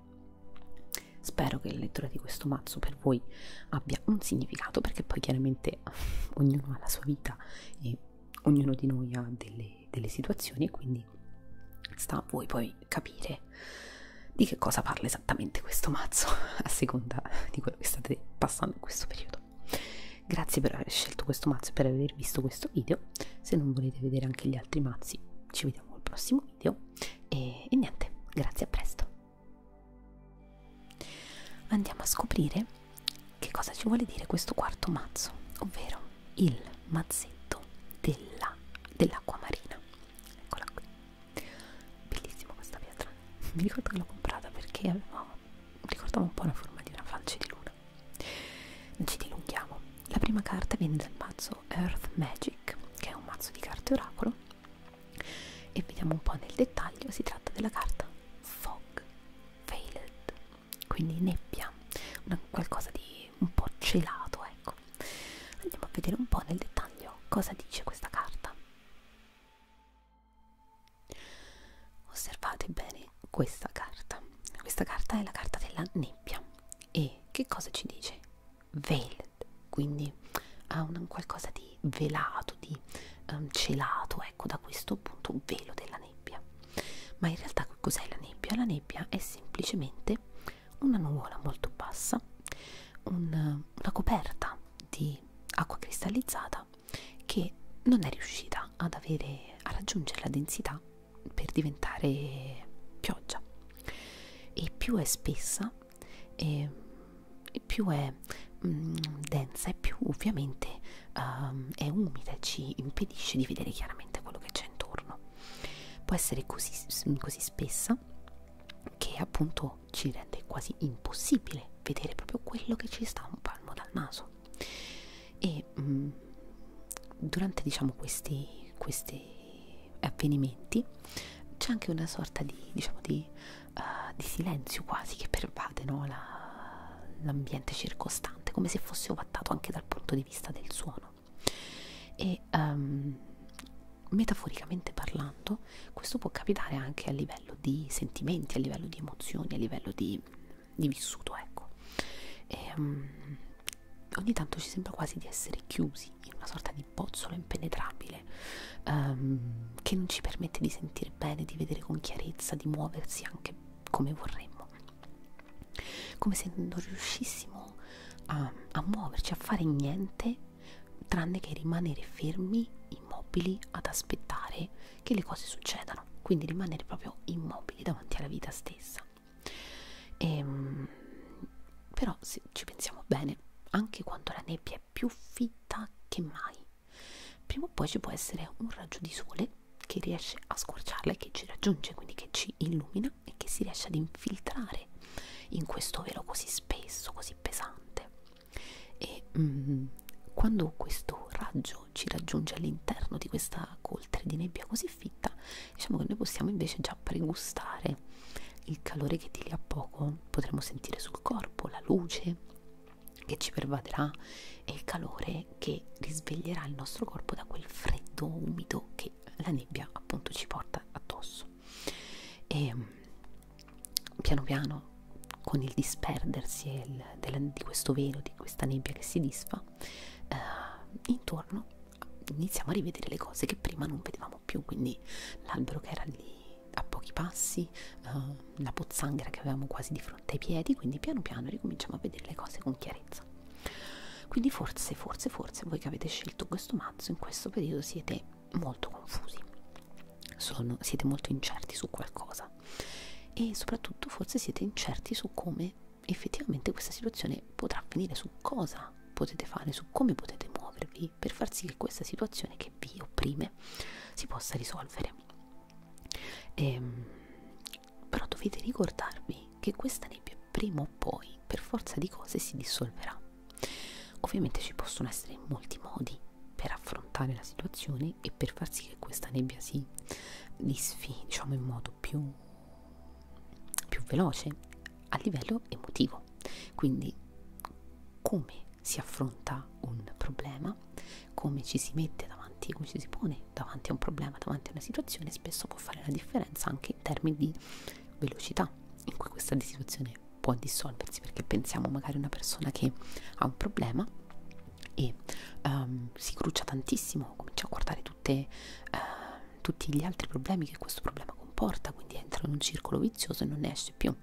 Spero che la lettura di questo mazzo per voi abbia un significato, perché poi chiaramente ognuno ha la sua vita e ognuno di noi ha delle, delle situazioni e quindi sta a voi poi capire di che cosa parla esattamente questo mazzo a seconda di quello che state passando in questo periodo. Grazie per aver scelto questo mazzo e per aver visto questo video. Se non volete vedere anche gli altri mazzi, ci vediamo al prossimo video e, e niente, grazie a presto. Andiamo a scoprire che cosa ci vuole dire questo quarto mazzo, ovvero il mazzetto dell'acqua dell marina. Eccola qui. Bellissima questa pietra. Mi ricordo che l'ho comprata perché aveva, ricordava un po' la forma di una falce di luna. Non ci dilunghiamo. La prima carta viene dal mazzo Earth Magic, che è un mazzo di carte oracolo e vediamo un po' nel dettaglio, si tratta della carta Fog Veiled, quindi nebbia, una, qualcosa di un po' celato, ecco. Andiamo a vedere un po' nel dettaglio cosa dice questa carta. Osservate bene questa carta. Questa carta è la carta della nebbia e che cosa ci dice? veiled, quindi ha un qualcosa di velato, di um, celato, ecco, da questo appunto velo della nebbia. Ma in realtà che cos'è la nebbia? La nebbia è semplicemente una nuvola molto bassa, un, una coperta di acqua cristallizzata che non è riuscita ad avere, a raggiungere la densità per diventare pioggia e più è spessa e più è mh, mm, densa e più ovviamente uh, è umida e ci impedisce di vedere chiaramente quello che c'è intorno. Può essere così, così spessa che appunto ci rende quasi impossibile vedere proprio quello che ci sta un palmo dal naso. E mh, mm, durante diciamo questi, questi avvenimenti c'è anche una sorta di, diciamo di, uh, di silenzio quasi che pervade no? l'ambiente La, circostante, come se fosse ovattato anche dal punto di vista del suono. E um, metaforicamente parlando, questo può capitare anche a livello di sentimenti, a livello di emozioni, a livello di, di vissuto, ecco. E, um, ogni tanto ci sembra quasi di essere chiusi chiusi in una sorta di bozzolo impenetrabile um, che non ci permette di sentire bene, di vedere con chiarezza, di muoversi anche come vorremmo, come se non riuscissimo a, a muoverci, a fare niente tranne che rimanere fermi, immobili, ad aspettare che le cose succedano, quindi rimanere proprio immobili davanti alla vita stessa. E, ehm, però se ci pensiamo bene bene, anche quando la nebbia è più fitta che mai. Prima o poi ci può essere un raggio di sole che riesce a scorciarla e che ci raggiunge, quindi che ci illumina e che si riesce ad infiltrare in questo velo così spesso, così pesante. E mm, quando questo raggio ci raggiunge all'interno di questa coltre di nebbia così fitta, diciamo che noi possiamo invece già pregustare il calore che di lì a poco potremo sentire sul corpo la luce che ci pervaderà e il calore che risveglierà il nostro corpo da quel freddo umido che la nebbia appunto ci porta addosso e mm, piano piano con il disperdersi il, del, di questo velo di questa nebbia che si disfa eh, intorno iniziamo a rivedere le cose che prima non vedevamo tornavano più, quindi l'albero che era lì a pochi passi, uh, la pozzanghera che avevamo quasi di fronte ai piedi, quindi piano piano ricominciamo a vedere le cose con chiarezza. Quindi forse, forse, forse voi che avete scelto questo mazzo in questo periodo siete molto confusi, Sono, siete molto incerti su qualcosa e soprattutto forse siete incerti su come effettivamente questa situazione potrà finire, su cosa potete fare, su come potete muovervi, utili per far sì che questa situazione che vi opprime si possa risolvere. Ehm, però dovete ricordarvi che questa nebbia prima o poi per forza di cose si dissolverà. Ovviamente ci possono essere molti modi per affrontare la situazione e per far sì che questa nebbia si disfi diciamo in modo più, più veloce a livello emotivo. Quindi come si affronta un problema, come ci si mette davanti, come ci si pone davanti a un problema, davanti a una situazione, spesso può fare la differenza anche in termini di velocità in cui questa situazione può dissolversi, perché pensiamo magari a una persona che ha un problema e um, si cruccia tantissimo, comincia a guardare tutte, uh, tutti gli altri problemi che questo problema comporta, quindi entra in un circolo vizioso e non ne esce più.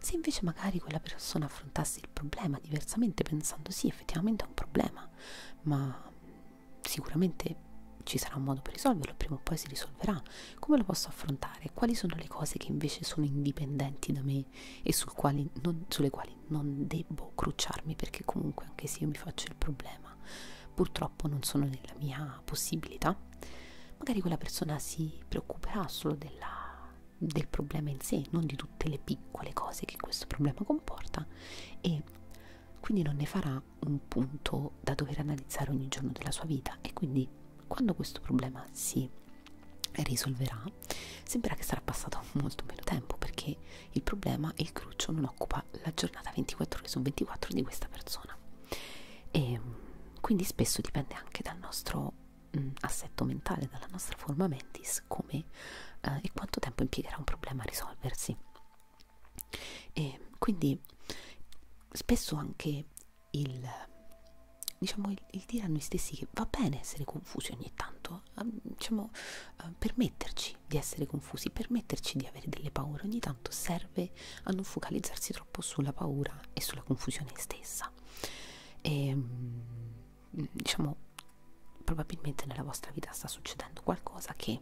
Se invece magari quella persona affrontasse il problema diversamente pensando sì, effettivamente è un problema, ma sicuramente ci sarà un modo per risolverlo, prima o poi si risolverà. Come lo posso affrontare? Quali sono le cose che invece sono indipendenti da me e sul quali non, sulle quali non devo crucciarmi perché comunque anche se io mi faccio il problema, purtroppo non sono nella mia possibilità? magari quella persona si preoccuperà solo della, del problema in sé, non di tutte le piccole cose che questo problema comporta e quindi non ne farà un punto da dover analizzare ogni giorno della sua vita e quindi quando questo problema si risolverà sembra che sarà passato molto meno tempo perché il problema il cruccio non occupa la giornata 24 ore su 24 di questa persona e quindi spesso dipende anche dal nostro mh, mm, assetto mentale, dalla nostra forma mentis, come eh, e quanto tempo impiegherà un problema a risolversi. E quindi spesso anche il diciamo il, il dire a noi stessi che va bene essere confusi ogni tanto, ehm, diciamo eh, permetterci di essere confusi, permetterci di avere delle paure ogni tanto serve a non focalizzarsi troppo purtroppo sulla paura e sulla confusione stessa e ehm, diciamo probabilmente nella vostra vita sta succedendo qualcosa che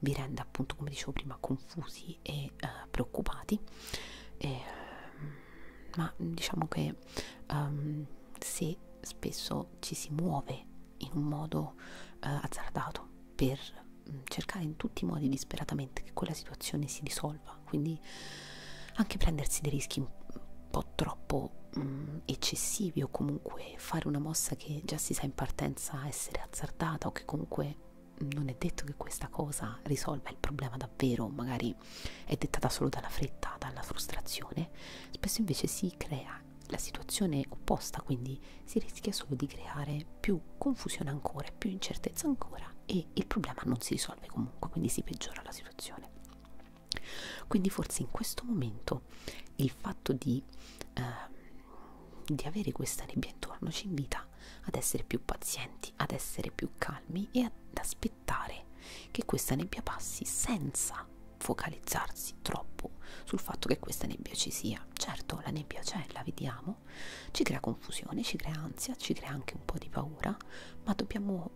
vi rende appunto come dicevo prima confusi e uh, preoccupati e, ehm, ma diciamo che um, se spesso ci si muove in un modo uh, azzardato per Mm, cercare in tutti i modi disperatamente che quella situazione si risolva, quindi anche prendersi dei rischi un po' troppo mh, mm, eccessivi o comunque fare una mossa che già si sa in partenza essere azzardata o che comunque mm, non è detto che questa cosa risolva il problema davvero, magari è dettata solo dalla fretta, dalla frustrazione, spesso invece si crea la situazione opposta, quindi si rischia solo di creare più confusione ancora, più incertezza ancora e il problema non si risolve comunque, quindi si peggiora la situazione. Quindi forse in questo momento il fatto di, eh, di avere questa nebbia intorno ci invita ad essere più pazienti, ad essere più calmi e ad aspettare che questa nebbia passi senza focalizzarsi troppo sul fatto che questa nebbia ci sia. Certo, la nebbia c'è, la vediamo, sappiamo, ci crea confusione, ci crea ansia, ci crea anche un po' di paura, ma dobbiamo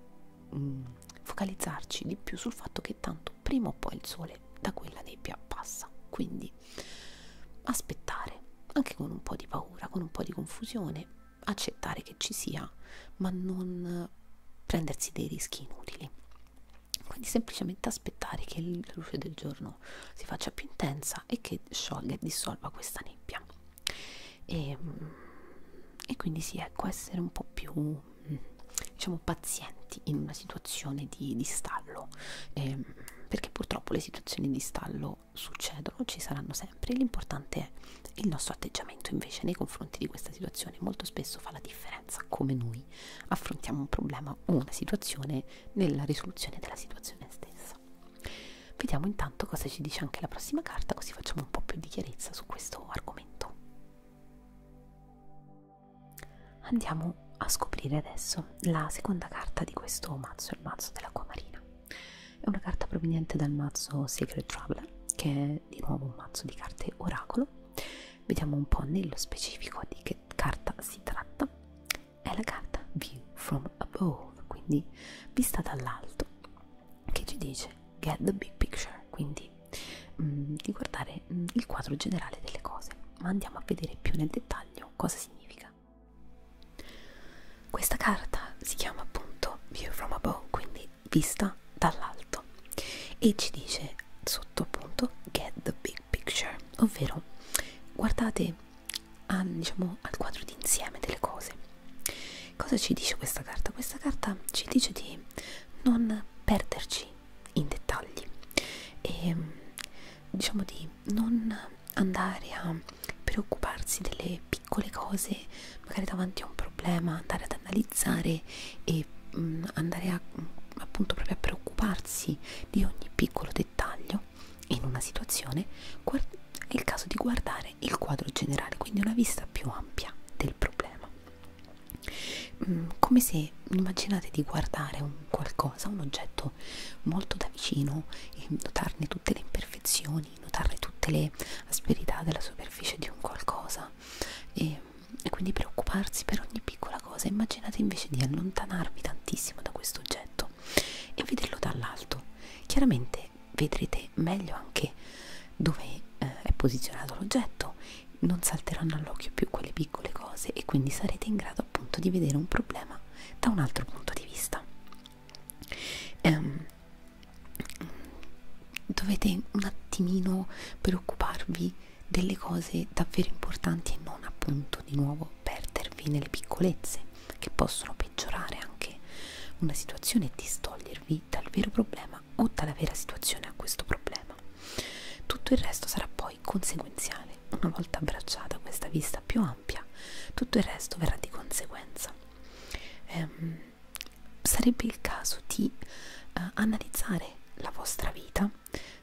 mh, mm, focalizzarci di più sul fatto che tanto prima o poi il sole da quella nebbia passa, quindi aspettare anche con un po' di paura, con un po' di confusione, accettare che ci sia, ma non prendersi dei rischi inutili. Quindi semplicemente aspettare che la luce del giorno si faccia più intensa e che sciolga e dissolva questa nebbia e, mm, e quindi sì, ecco, essere un po' più mm, diciamo pazienti in una situazione di, di stallo eh, perché purtroppo le situazioni di stallo succedono, ci saranno sempre l'importante è il nostro atteggiamento invece nei confronti di questa situazione molto spesso fa la differenza come noi affrontiamo un problema o una situazione nella risoluzione della situazione stessa cosa. Vediamo intanto cosa ci dice anche la prossima carta, così facciamo un po' più di chiarezza su questo argomento. Andiamo a scoprire adesso la seconda carta di questo mazzo, il mazzo dell'acqua marina. È una carta proveniente dal mazzo Secret Traveler, che è di nuovo un mazzo di carte oracolo. Vediamo un po' nello specifico di che carta si tratta è la carta View from Above, quindi vista dall'alto, che ci dice Get the Big Picture, quindi mh, mm, di guardare mh, mm, il quadro generale delle cose. Ma andiamo a vedere più nel dettaglio cosa significa. Questa carta si chiama appunto View from Above, quindi vista dall'alto, e ci dice sotto appunto Get the Big Picture, ovvero guardate a, diciamo, al quadro d'insieme delle cose. Cosa ci dice questa carta? Questa carta ci dice di non perderci in dettagli e diciamo di non andare a preoccuparsi delle piccole cose, magari davanti a un problema, andare ad analizzare e mh, mm, andare a, appunto proprio a preoccuparsi di ogni piccolo dettaglio quadro in una situazione è il caso di guardare il quadro generale, quindi una vista più ampia del problema. Mm, come se immaginate di guardare un qualcosa, un oggetto molto da vicino e notarne tutte le imperfezioni, notarne tutte le asperità della superficie di un qualcosa e, e quindi preoccuparsi per ogni piccola cosa. Immaginate invece di allontanarvi tantissimo da questo oggetto e vederlo dall'alto chiaramente vedrete meglio anche dove eh, è posizionato l'oggetto non salteranno all'occhio più quelle piccole cose e quindi sarete in grado appunto di vedere un problema da un altro punto di vista ehm, dovete un attimino preoccuparvi delle cose davvero importanti e non appunto di nuovo perdervi nelle piccolezze che possono peggiorare anche una situazione e distogliervi dal vero problema o dalla vera situazione a questo problema. Tutto il resto sarà poi conseguenziale. Una volta abbracciata questa vista più ampia, tutto il resto verrà di conseguenza. Ehm, sarebbe il caso di eh, analizzare la vostra vita,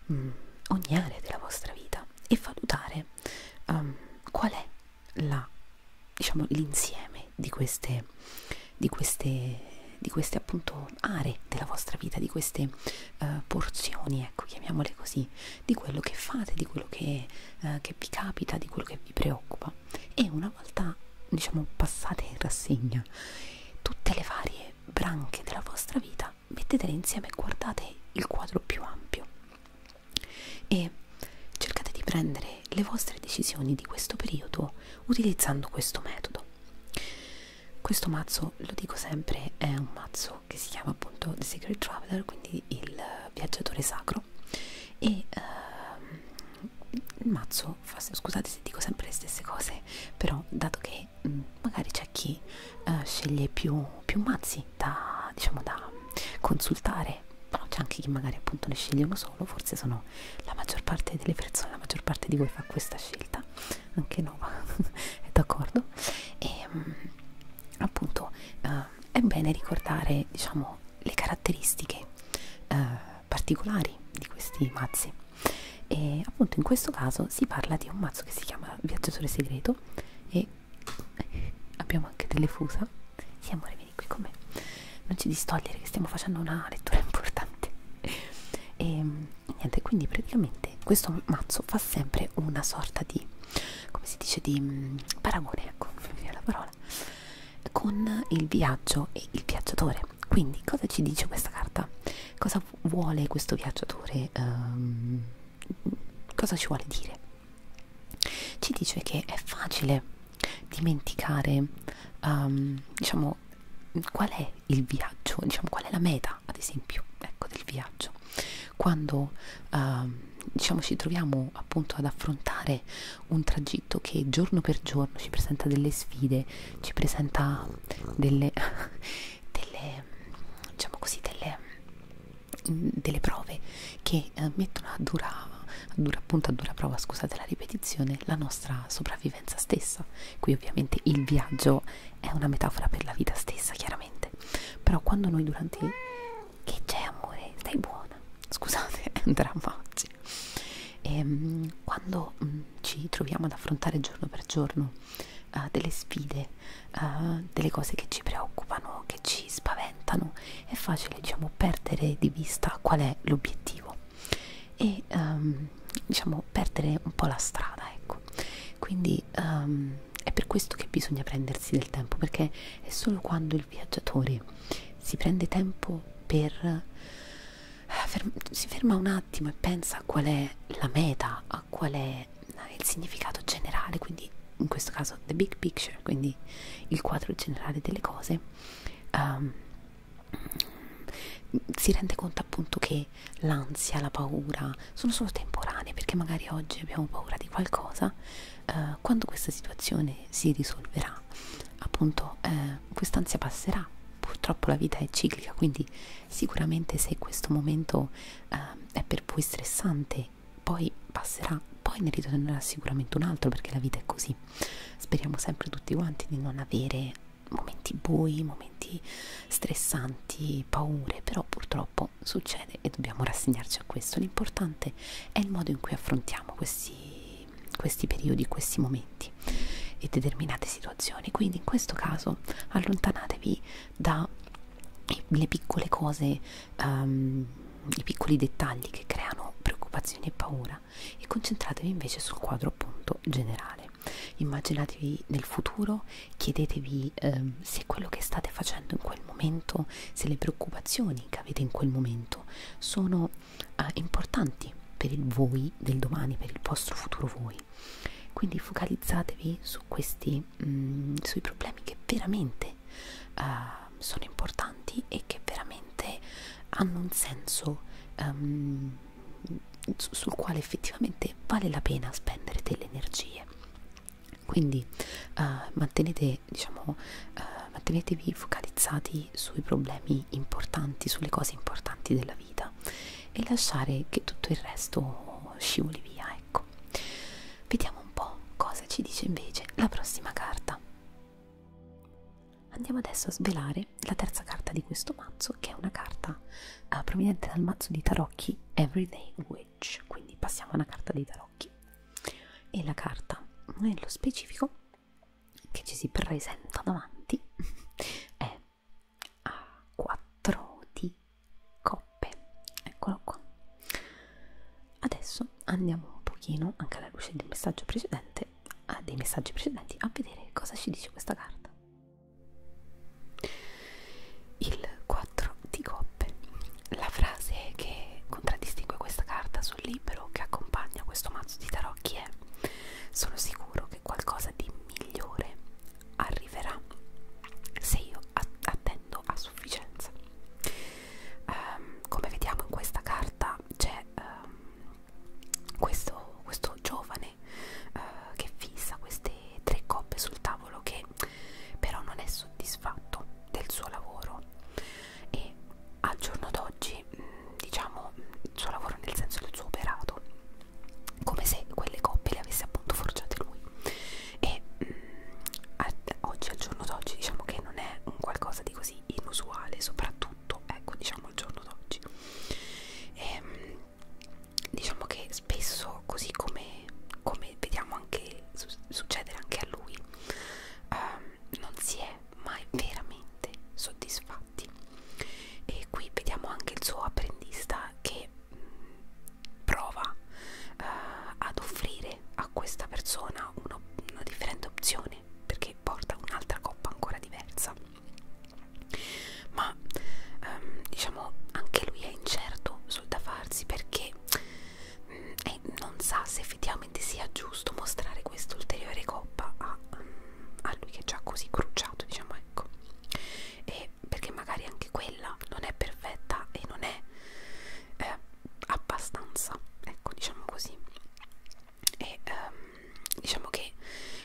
mh, mm, ogni area della vostra vita e valutare um, qual è la, diciamo, l'insieme di queste, di queste, di queste appunto aree della vostra vita, di queste uh, porzioni, ecco, chiamiamole così, di quello che fate, di quello che, uh, che vi capita, di quello che vi preoccupa. E una volta, diciamo, passate in rassegna tutte le varie branche della vostra vita, mettetele insieme e guardate il quadro più ampio e cercate di prendere le vostre decisioni di questo periodo utilizzando questo metodo. Questo mazzo, lo dico sempre, è un mazzo che si chiama appunto The Secret Traveler, quindi il viaggiatore sacro e uh, il mazzo, fa, scusate se dico sempre le stesse cose, però dato che mh, mm, magari c'è chi uh, sceglie più, più mazzi da, diciamo, da consultare però c'è anche chi magari appunto ne sceglie uno solo forse sono la maggior parte delle persone la maggior parte di voi fa questa scelta anche no è d'accordo e ehm, appunto eh, è bene ricordare diciamo le caratteristiche eh, particolari di questi mazzi e appunto in questo caso si parla di un mazzo che si chiama viaggiatore segreto e abbiamo anche delle fusa sì amore vieni qui con me, non ci distogliere che stiamo facendo una lettura importante. E ehm, niente, quindi praticamente questo mazzo fa sempre una sorta di, come si dice, di mm, paragone, ecco, non mi viene la parola, con il viaggio e il viaggiatore. Quindi cosa ci dice questa carta? Cosa vuole questo viaggiatore? Um, cosa ci vuole dire? ci dice che è facile dimenticare um, diciamo qual è il viaggio diciamo qual è la meta ad esempio ecco del viaggio quando um, diciamo ci troviamo appunto ad affrontare un tragitto che giorno per giorno ci presenta delle sfide ci presenta delle, delle diciamo così delle, delle prove che eh, mettono a dura, a dura appunto a dura prova, scusate la ripetizione, la nostra sopravvivenza stessa. Qui ovviamente il viaggio è una metafora per la vita stessa, chiaramente. Però quando noi durante il... che c'è amore, stai buona, scusate, è un dramma oggi. E, ehm, quando mh, mm, ci troviamo ad affrontare giorno per giorno uh, delle sfide, uh, delle cose che ci preoccupano, che ci spaventano è facile diciamo perdere di vista qual è l'obiettivo e um, diciamo perdere un po' la strada ecco quindi um, è per questo che bisogna prendersi del tempo perché è solo quando il viaggiatore si prende tempo per eh, si ferma un attimo e pensa a qual è la meta, a qual è il significato generale, quindi in questo caso the big picture picture, cioè, quindi il quadro generale delle cose, um, si rende conto appunto che l'ansia, la paura sono solo temporanee perché magari oggi abbiamo paura di qualcosa, uh, quando questa situazione si risolverà appunto uh, quest'ansia passerà, purtroppo la vita è ciclica quindi sicuramente se questo momento uh, è per voi stressante poi passerà, poi ne ritornerà sicuramente un altro perché la vita è così. Speriamo sempre tutti quanti di non avere momenti bui, momenti stressanti, paure, però purtroppo succede e dobbiamo rassegnarci a questo. L'importante è il modo in cui affrontiamo questi, questi periodi, questi momenti e determinate situazioni. Quindi in questo caso allontanatevi dalle piccole cose. Um, i piccoli dettagli che creano preoccupazioni e paura e concentratevi invece sul quadro appunto generale. Immaginatevi nel futuro, chiedetevi ehm, se quello che state facendo in quel momento, se le preoccupazioni che avete in quel momento sono eh, importanti per il voi del domani, per il vostro futuro voi. Quindi focalizzatevi su questi, mh, mm, sui problemi che veramente veramente uh, sono importanti e che veramente hanno un senso um, sul quale effettivamente vale la pena spendere delle energie quindi uh, mantenete diciamo uh, mantenetevi focalizzati sui problemi importanti sulle cose importanti della vita e lasciare che tutto il resto scivoli via ecco vediamo un po' cosa ci dice invece la prossima carta Andiamo adesso a svelare la terza carta di questo mazzo, che è una carta uh, proveniente dal mazzo di tarocchi Everyday Witch. Quindi passiamo a una carta dei tarocchi. E la carta, nello specifico, che ci si presenta davanti è a 4 di coppe. Eccolo qua adesso andiamo un pochino anche alla luce del messaggio precedente a ah, dei messaggi precedenti a vedere cosa ci dice questa carta il 4 di coppe la frase che contraddistingue questa carta sul libro che accompagna questo mazzo di tarocchi è sono sicuro che qualcosa di migliore arriverà se io attendo a sufficienza Um, come vediamo in questa carta c'è um, questo, questo giovane uh, che fissa queste tre coppe sul tavolo che però non è soddisfatto del suo lavoro e al giorno d'oggi mm, diciamo mm, il suo lavoro nel senso del suo operato come se quelle coppe le avesse appunto forgiate lui e mh, mm, a, oggi al giorno d'oggi diciamo che non è un qualcosa di così quasi inusuale soprattutto ecco diciamo al giorno d'oggi ehm, diciamo che spesso così come, come vediamo anche su succedere anche a lui ehm, non si è mai veramente soddisfatti e qui vediamo anche il suo apprendista che mh, mm, prova eh, ad offrire a questa persona uno, una differente opzione perché porta un'altra coppa ancora diversa ma ehm, diciamo anche lui è incerto sul da farsi perché mh, mm, eh, è, non sa se effettivamente sia giusto mostrare questa ulteriore coppa a, mm, a lui che è già così cruciato diciamo ecco e perché magari anche quella non è perfetta e non è eh, abbastanza ecco diciamo così e um, diciamo che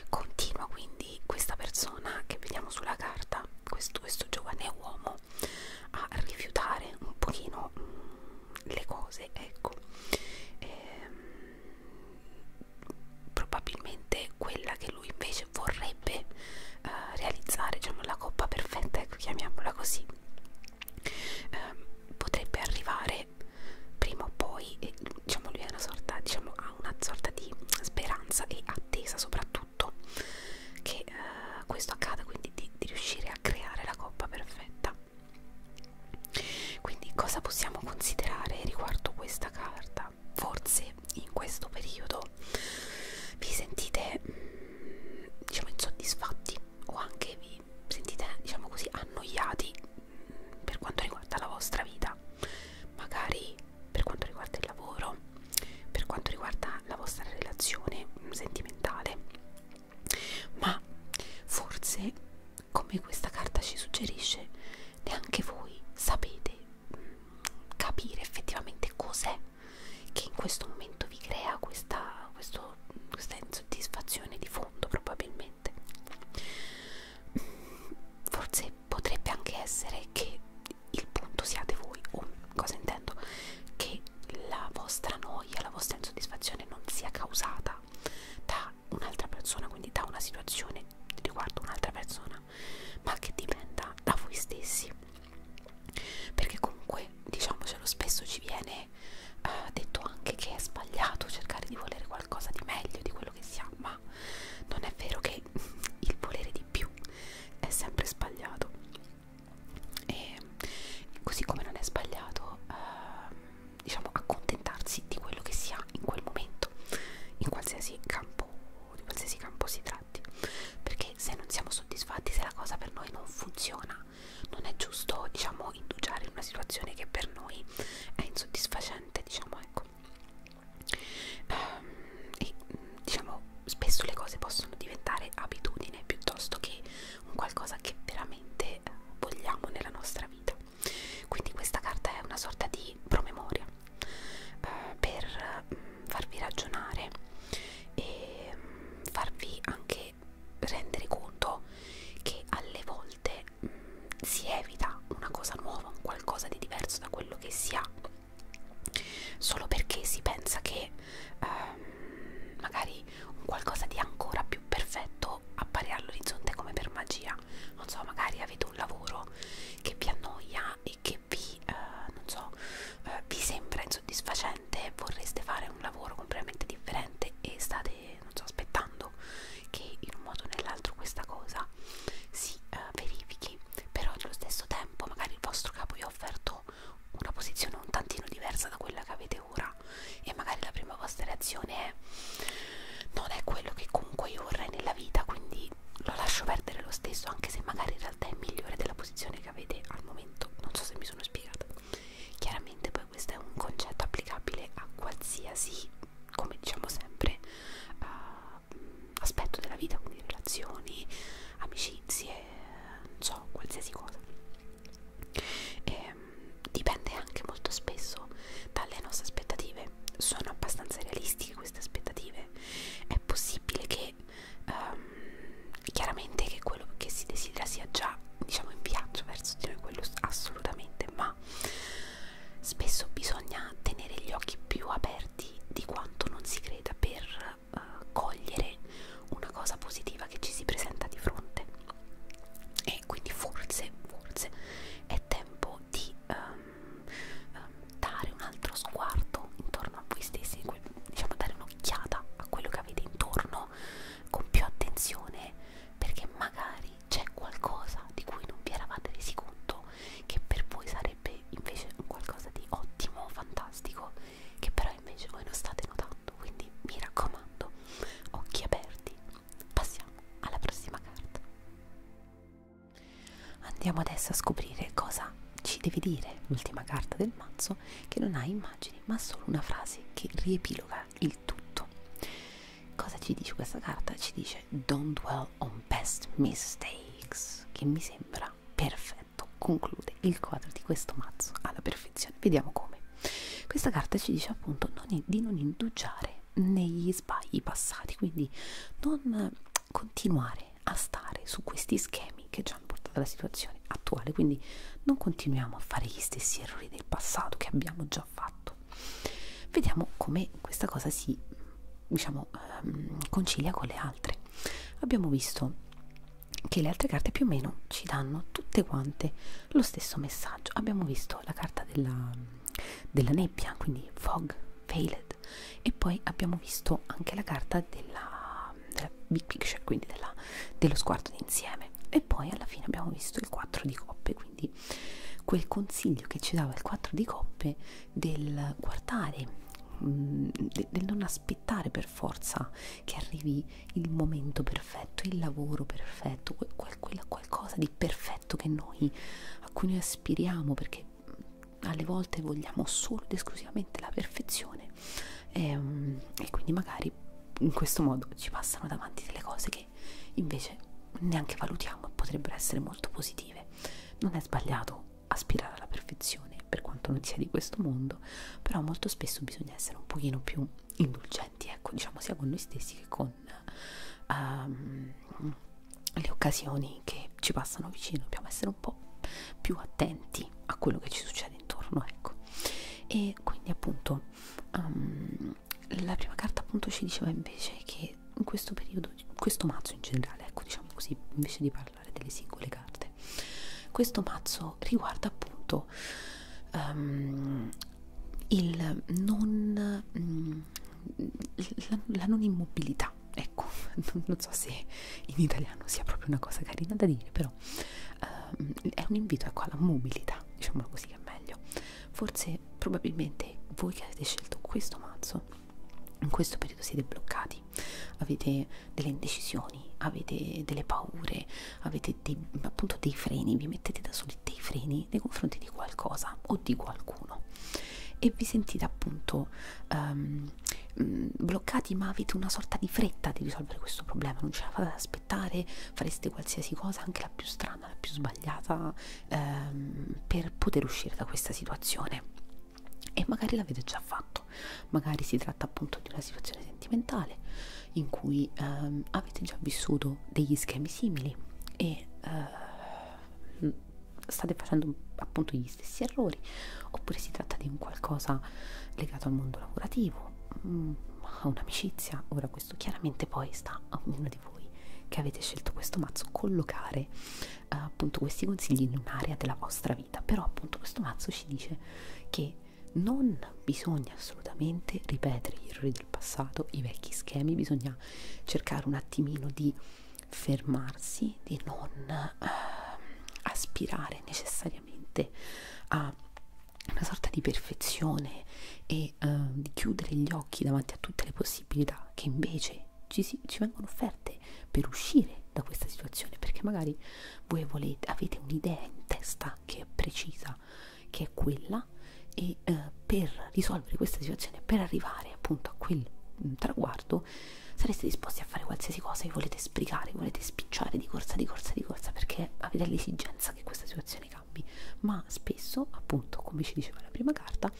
continua quindi questa persona che vediamo sulla carta questo, questo giovane uomo a rifiutare un pochino mh, mm, le cose ecco ehm, probabilmente quella che lui invece vorrebbe uh, realizzare diciamo la coppa perfetta ecco chiamiamola così ehm, potrebbe arrivare perché prima o poi eh, diciamo lui è una sorta diciamo ha una sorta di speranza e attesa soprattutto che eh, questo accada quindi di, di riuscire a creare la coppa perfetta quindi cosa possiamo considerare riguardo questa carta forse in questo periodo vi sentite mh, mm, diciamo insoddisfatti o anche vi vi sentite, diciamo così, annoiati per quanto riguarda la vostra vita, magari per quanto riguarda il lavoro, per quanto riguarda la vostra relazione sentimentale, ma forse, come questa carta ci suggerisce, neanche voi sapete mm, capire effettivamente cos'è che in questo momento vi crea questa, questo, questa insoddisfazione di fondo fondo probabilmente mm, forse potrebbe anche essere che il punto siate voi o cosa intendo che la vostra noia la vostra insoddisfazione non sia causata da un'altra persona quindi da una situazione riguardo un'altra persona ma che dipenda da voi stessi perché comunque diciamocelo spesso ci viene me ha detto anche che è sbagliato cercare di volere qualcosa di meglio di quello che si ha, ma non è vero che il volere di più è sempre sbagliato. E così come non è sbagliato, eh, diciamo, accontentarsi di quello che si ha in quel momento, in qualsiasi campo, di qualsiasi campo si tratti, perché se non siamo soddisfatti, se la cosa per noi non funziona, non è giusto diciamo indugiare in una situazione che per noi è insoddisfacente diciamo ecco ehm, e diciamo spesso le cose possono diventare abitudine piuttosto che un qualcosa che veramente vogliamo nella nostra vita quindi questa carta è una sorta di promemoria eh, per mm, farvi ragionare e mm, farvi anche e rendere conto che alle volte mh, mm, si evita una cosa nuova, un qualcosa di diverso da quello che si ha, solo perché si pensa che ehm, magari un qualcosa di ancora più perfetto appare all'orizzonte come per magia. Non so, magari avete un lavoro che vi annoia e che vi, eh, non so, eh, vi sembra insoddisfacente, vorreste fare un lavoro completamente differente e state state non so, aspettando che in un modo o nell'altro questa cosa si eh, verifichi però allo stesso tempo magari il vostro capo vi ha offerto una posizione un tantino diversa da quella che avete ora e magari la prima vostra reazione è non è quello che comunque io vorrei nella vita quindi lo lascio perdere lo stesso anche se magari in realtà è migliore della posizione che avete al momento non so se mi sono spiegata chiaramente poi questo è un concetto applicabile a qualsiasi, come diciamo sempre, uh, aspetto della vita, quindi relazioni, amicizie, non so, qualsiasi cosa. E, ehm, dipende anche molto spesso dalle nostre aspettative. Sono abbastanza realistiche queste aspettative. È possibile che um, chiaramente che quello che si desidera sia già diciamo in viaggio verso di noi quello assolutamente ma Spesso bisogna tenere gli occhi più aperti di quanto non si creda per uh, cogliere una cosa positiva che ci si presenta di fronte. E quindi forse, forse è tempo di um, um, dare un altro sguardo intorno a voi stessi, diciamo dare un'occhiata a quello che avete intorno con più attenzione perché magari magari c'è qualcosa di cui non vi eravate resi conto che per voi sarebbe invece qualcosa di ottimo, fantastico, che però invece voi non state notando, quindi mi raccomando, occhi aperti. Passiamo alla prossima carta. Andiamo adesso a scoprire cosa ci devi dire l'ultima carta del mazzo che non ha immagini ma solo una frase che riepiloga il tutto. Cosa ci dice questa carta? Ci dice Don't dwell on past mistakes, che mi sembra perfetto, conclude il quadro di questo mazzo alla perfezione. Vediamo come. Questa carta ci dice appunto non, di non indugiare negli sbagli passati, quindi non continuare a stare su questi schemi che ci hanno portato alla situazione attuale, quindi non continuiamo a fare gli stessi errori del passato che abbiamo già fatto, Vediamo come questa cosa si diciamo ehm, concilia con le altre. Abbiamo visto che le altre carte più o meno ci danno tutte quante lo stesso messaggio. Abbiamo visto la carta della, della nebbia, quindi fog, veiled, e poi abbiamo visto anche la carta della, della big picture, quindi della, dello sguardo d'insieme. E poi alla fine abbiamo visto il 4 di coppe, quindi quel consiglio che ci dava il 4 di coppe del guardare mm, del non aspettare per forza che arrivi il momento perfetto, il lavoro perfetto, quel, quel, qualcosa di perfetto che noi, a cui noi aspiriamo perché mm, alle volte vogliamo solo ed esclusivamente la perfezione e, ehm, e quindi magari in questo modo ci passano davanti delle cose che che invece neanche valutiamo e potrebbero essere molto positive. Non è sbagliato aspirare alla perfezione per quanto non sia di questo mondo, però molto spesso bisogna essere un pochino più indulgenti, ecco, diciamo sia con noi stessi che con um, le occasioni che ci passano vicino, dobbiamo essere un po' più attenti a quello che ci succede intorno, ecco. E quindi appunto um, la prima carta appunto ci diceva invece che in questo periodo, questo mazzo in generale, ecco diciamo così, invece di parlare delle singole carte, questo mazzo riguarda appunto um, il non, mm, la, la non immobilità, ecco, non, non so se in italiano sia proprio una cosa carina da dire, però um, è un invito ecco alla mobilità, diciamo così che è meglio forse probabilmente voi che avete scelto questo mazzo in questo periodo siete bloccati avete delle indecisioni avete delle paure avete dei, appunto dei freni vi mettete da soli dei freni nei confronti di qualcosa o di qualcuno e vi sentite appunto um, bloccati ma avete una sorta di fretta di risolvere questo problema non ce la fate ad aspettare fareste qualsiasi cosa anche la più strana umana, la più sbagliata ehm, per poter uscire da questa situazione e magari l'avete già fatto, magari si tratta appunto di una situazione sentimentale in cui ehm, avete già vissuto degli schemi simili e eh, state facendo appunto gli stessi errori oppure si tratta di un qualcosa legato al mondo lavorativo, mm, a un'amicizia, ora questo chiaramente poi sta a ognuno di voi che avete scelto questo mazzo collocare eh, appunto questi consigli in un'area della vostra vita però appunto questo mazzo ci dice che non bisogna assolutamente ripetere gli errori del passato, i vecchi schemi, bisogna cercare un attimino di fermarsi, di non eh, aspirare necessariamente a una sorta di perfezione e e uh, di chiudere gli occhi davanti a tutte le possibilità che invece ci, si, ci vengono offerte per uscire da questa situazione perché magari voi volete, avete un'idea in testa che è precisa, che è quella e uh, per risolvere questa situazione, per arrivare appunto a quel mm, traguardo sareste disposti a fare qualsiasi cosa vi volete sbrigare, volete spicciare di corsa, di corsa, di corsa perché avete l'esigenza che questa situazione entrambi, ma spesso, appunto, come ci diceva la prima carta,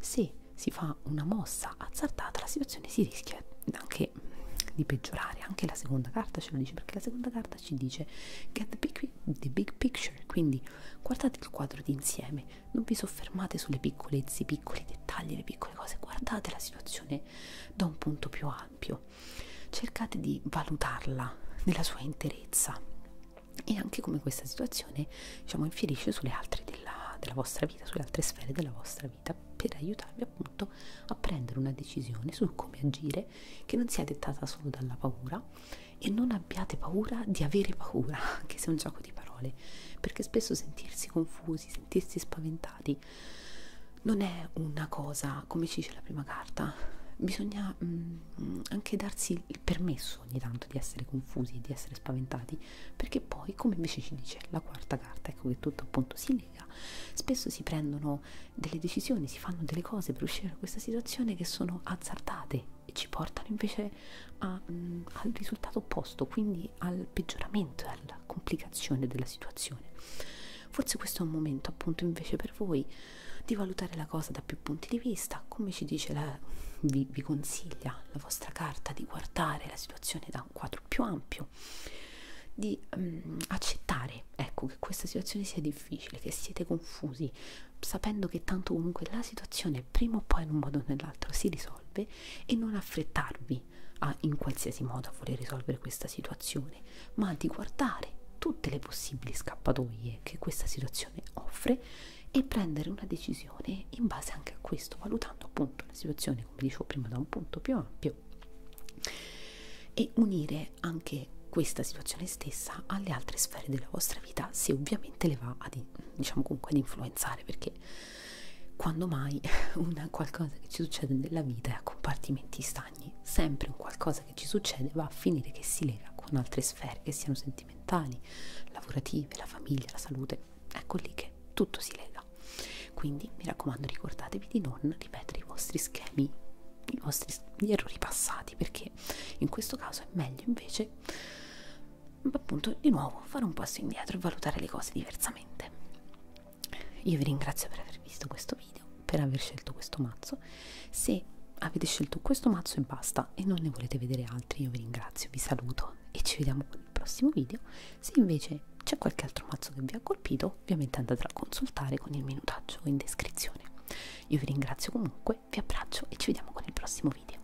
se si fa una mossa azzardata la situazione si rischia anche di peggiorare, anche la seconda carta ce lo dice, perché la seconda carta ci dice get the big, the big picture, quindi guardate il quadro d'insieme, non vi soffermate sulle piccolezze, i piccoli dettagli, le piccole cose, guardate la situazione da un punto più ampio, cercate di valutarla nella sua interezza e anche come questa situazione diciamo infierisce sulle altre della, della vostra vita, sulle altre sfere della vostra vita per aiutarvi appunto a prendere una decisione su come agire che non sia dettata solo dalla paura e non abbiate paura di avere paura, anche se è un gioco di parole, perché spesso sentirsi confusi, sentirsi spaventati non è una cosa, come ci dice la prima carta, bisogna mh, mm, anche darsi il permesso caso ogni tanto di essere confusi, di essere spaventati, perché poi, come invece ci dice la quarta carta, ecco che tutto appunto si lega, spesso si prendono delle decisioni, si fanno delle cose per uscire da questa situazione che sono azzardate e ci portano invece a, mh, mm, al risultato opposto, quindi al peggioramento, alla complicazione della situazione. Forse questo è un momento appunto invece per voi di valutare la cosa da più punti di vista, come ci dice la, vi, vi consiglia la vostra carta di guardare la situazione da un quadro più ampio, di um, accettare ecco, che questa situazione sia difficile, che siete confusi, sapendo che tanto comunque la situazione prima o poi in un modo o nell'altro si risolve e non affrettarvi a, in qualsiasi modo a voler risolvere questa situazione, ma di guardare tutte le possibili scappatoie che questa situazione offre e prendere una decisione in base anche a questo, valutando appunto la situazione, come dicevo prima, da un punto più ampio e unire anche questa situazione stessa alle altre sfere della vostra vita, se ovviamente le va ad, diciamo comunque, ad influenzare, perché quando mai una qualcosa che ci succede nella vita è a compartimenti stagni, sempre un qualcosa che ci succede va a finire che si lega con altre sfere, che siano sentimentali, lavorative, la famiglia, la salute, ecco lì che tutto si lega. Quindi mi raccomando ricordatevi di non ripetere i vostri schemi, i vostri gli errori passati, perché in questo caso è meglio invece appunto di nuovo fare un passo indietro e valutare le cose diversamente. Io vi ringrazio per aver visto questo video, per aver scelto questo mazzo mazzo se avete scelto questo mazzo e basta e non ne volete vedere altri io vi ringrazio vi saluto e ci vediamo con il prossimo video se invece c'è qualche altro mazzo che vi ha colpito ovviamente andate a consultare con il minutaggio in descrizione io vi ringrazio comunque vi abbraccio e ci vediamo con il prossimo video